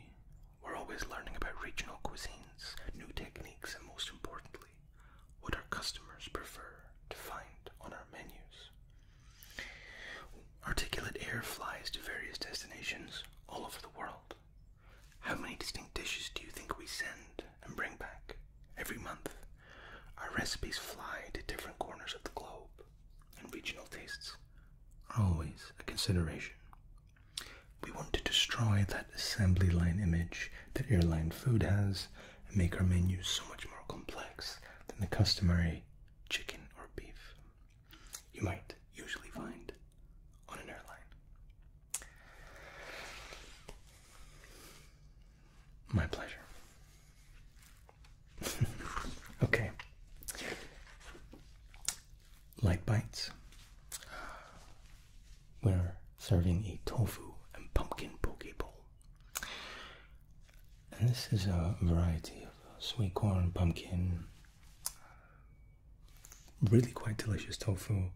We're always learning about regional cuisines, new techniques, and most importantly, what our customers prefer to find on our menus. Articulate air flies to various destinations all over the world. How many distinct dishes do you think we send and bring back every month? Our recipes fly to different corners of the globe, and regional tastes are always a consideration. We want to destroy that assembly line image that airline food has and make our menus so much more complex than the customary chicken or beef you might usually find on an airline. My pleasure. [laughs] okay. Light bites. We're serving a tofu and pumpkin poke bowl. And this is a variety of sweet corn, pumpkin, really quite delicious tofu,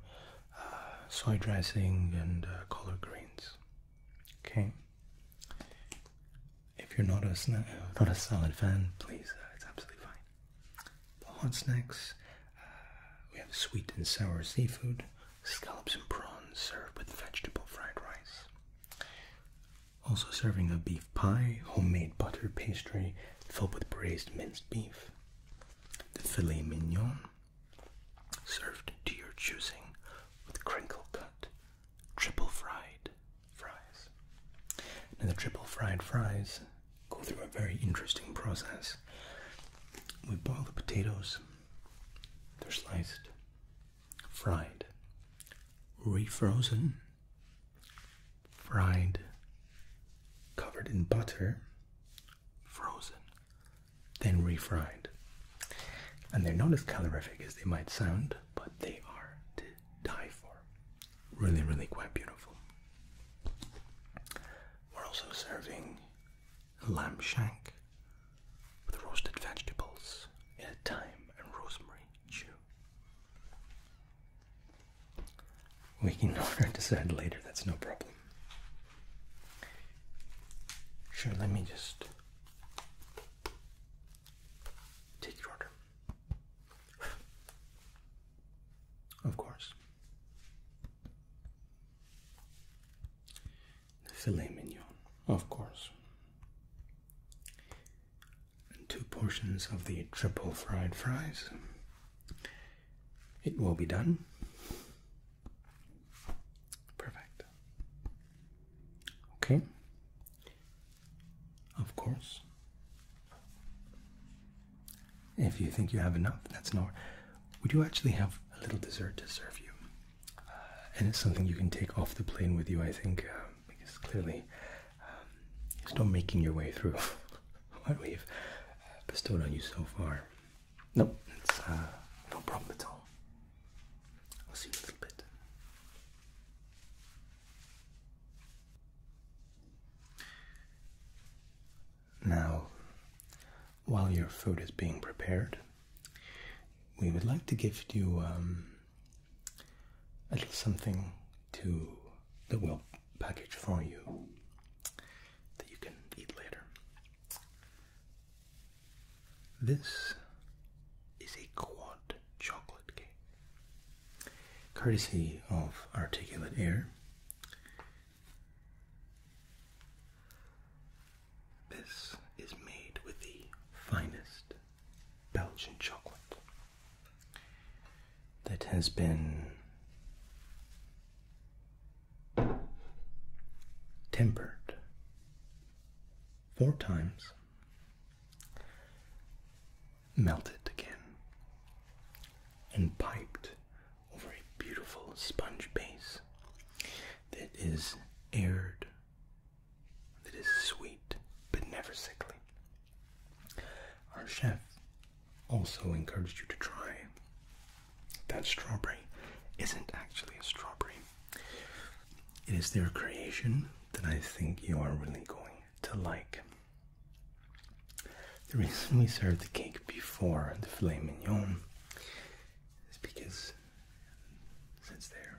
uh, soy dressing, and uh, collard greens. Okay. If you're not a uh, not a salad fan, please, uh, it's absolutely fine. The hot snacks. we have sweet and sour seafood, scallops and prawns served with vegetable fried rice. Also serving a beef pie, homemade butter pastry filled with braised minced beef. The filet mignon, served to your choosing with crinkle cut, triple fried fries. Now, the triple fried fries go through a very interesting process. We boil the potatoes, they're sliced, fried, refrozen, fried, covered in butter, frozen, then refried. And they're not as calorific as they might sound, but they are to die for. Really, really quite beautiful. We're also serving lamb shank with roasted vegetables in a thyme and rosemary chew. We can [laughs] decide later, that's no problem. Sure, let me just take your order. Of course. filet mignon, of course and two portions of the triple fried fries. It will be done. Perfect. Okay. Of course. If you think you have enough, that's not. Would you actually have a little dessert to serve you? Uh, and it's something you can take off the plane with you, I think, uh, because clearly um, still making your way through [laughs] what we've uh, bestowed on you so far. Nope, uh, no problem at all. I'll see you in a little bit. Now, while your food is being prepared, we would like to give you um, at least something to the will package for you that you can eat later. This is a quad chocolate cake, courtesy of Articulate Air. This is made with the finest Belgian chocolate that has been tempered four times, melted again, and piped over a beautiful sponge base that is aired, that is sweet but never sickly. Our chef also encouraged you to try that strawberry isn't actually a strawberry. It is their creation that I think you are really going to like. The reason we serve the cake before the filet is because since they're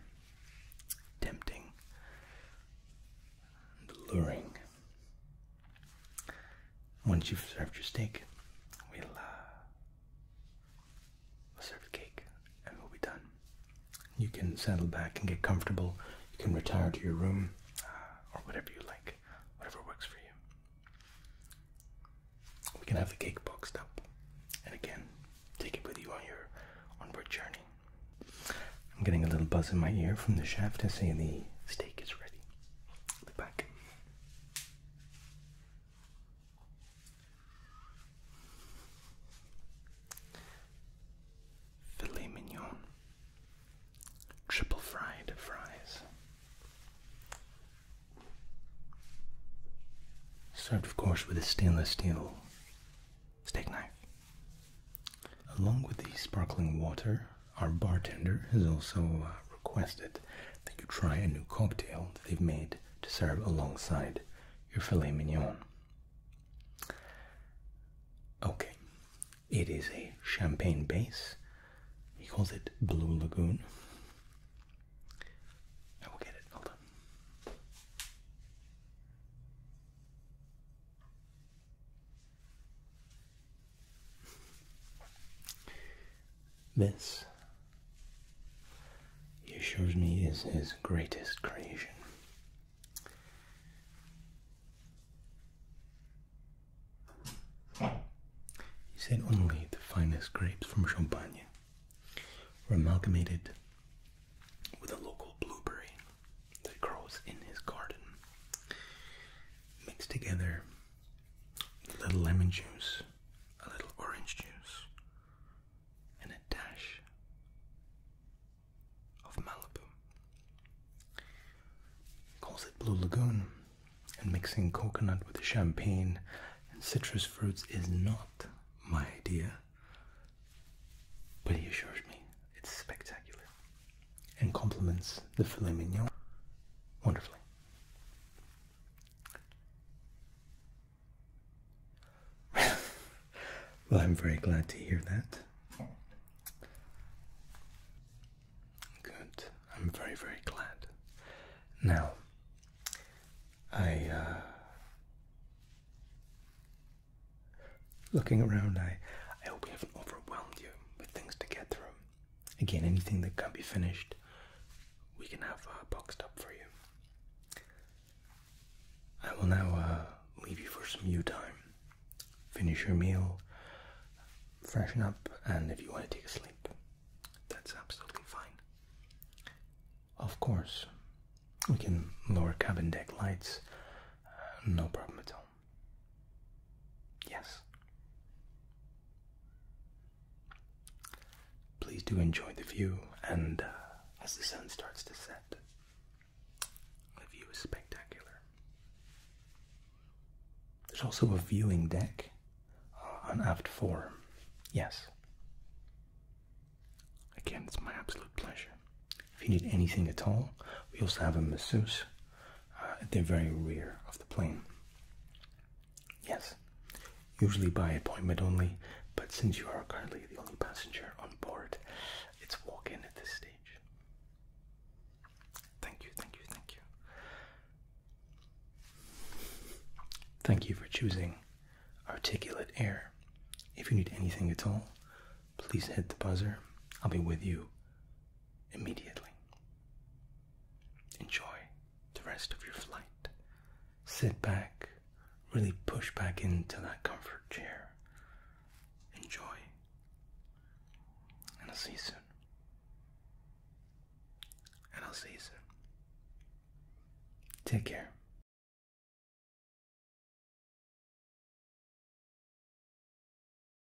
tempting and alluring once you've served your steak, uh, we'll, serve the cake and we'll be done. You can settle back and get comfortable. You can retire to your room uh, or whatever you like, whatever works for you. We can have the cake boxed up, and again, take it with you on your onward journey. I'm getting a little buzz in my ear from the chef to say the steak is ready. i back. Filet mignon. Triple fried fries. Served, of course, with a stainless steel steak knife. Along with the sparkling water our bartender has also uh, requested that you try a new cocktail that they've made to serve alongside your filet mignon. Okay, it is a champagne base. He calls it Blue Lagoon. I will get it, hold on. This, he assures me, is his greatest creation. He said only the finest grapes from Champagne were amalgamated with a local blueberry that grows in his garden. Mix together a little lemon juice, a little orange juice, and a dash of Malibu. calls it Blue Lagoon, and mixing coconut with champagne and citrus fruits is not my idea, but he assures me it's spectacular and complements the filet mignon wonderfully. [laughs] well, I'm very glad to hear that. Good. I'm very, very glad. Now, I, uh, looking around, I, I hope we haven't overwhelmed you with things to get through. Again, anything that can be finished, we can have uh, boxed up for you. I will now uh, leave you for some you time. Finish your meal, freshen up, and if you want to take a sleep, that's absolutely fine. Of course, we can lower cabin deck lights, no problem at all. Yes. Please do enjoy the view, and uh, as the sun starts to set, the view is spectacular. There's also a viewing deck uh, on aft four. Yes. Again, it's my absolute pleasure. If you need anything at all, we also have a masseuse at the very rear of the plane. Yes, usually by appointment only, but since you are currently the only passenger on board, it's walk in at this stage. Thank you, thank you, thank you. Thank you for choosing Articulate Air. If you need anything at all, please hit the buzzer. I'll be with you immediately. Enjoy the rest of your flight. Sit back, really push back into that comfort chair. Enjoy. And I'll see you soon. And I'll see you soon. Take care.